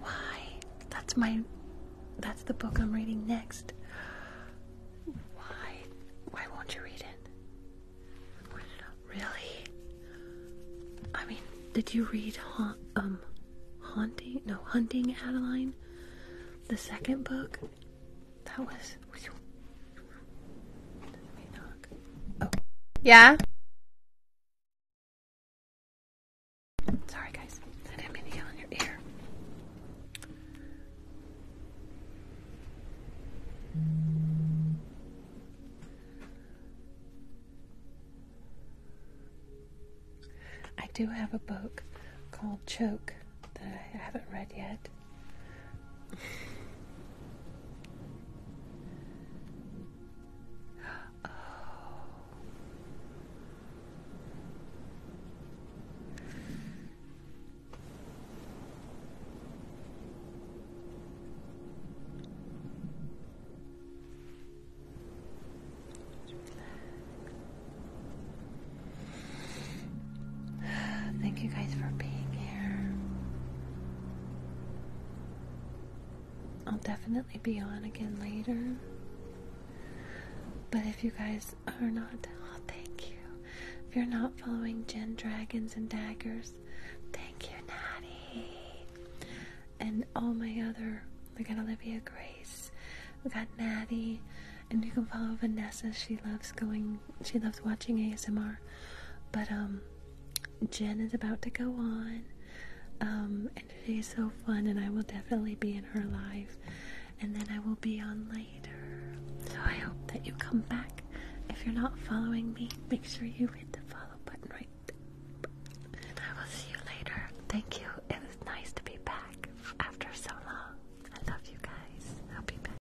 Speaker 1: Why? That's my. That's the book I'm reading next. Why? Why won't you read it? Really? I mean, did you read ha um, haunting? No, hunting Adeline. The second book. That was. Yeah.
Speaker 2: Sorry, guys. I didn't mean to
Speaker 1: yell in your ear. I do have a book called Choke that I haven't read yet. Oh. Thank you guys for being here. I'll definitely be on again later. But if you guys are not, oh, thank you. If you're not following Jen Dragons and Daggers, thank you, Natty. And all my other, we got Olivia Grace, we got Natty, and you can follow Vanessa. She loves going, she loves watching ASMR. But um, Jen is about to go on, um, She's so fun, and I will definitely be in her life. and then I will be on later. So I hope that you come back. If you're not following me, make sure you hit the follow button right And I will see you later. Thank you. It was nice to be back after so long. I love you guys. I'll be back.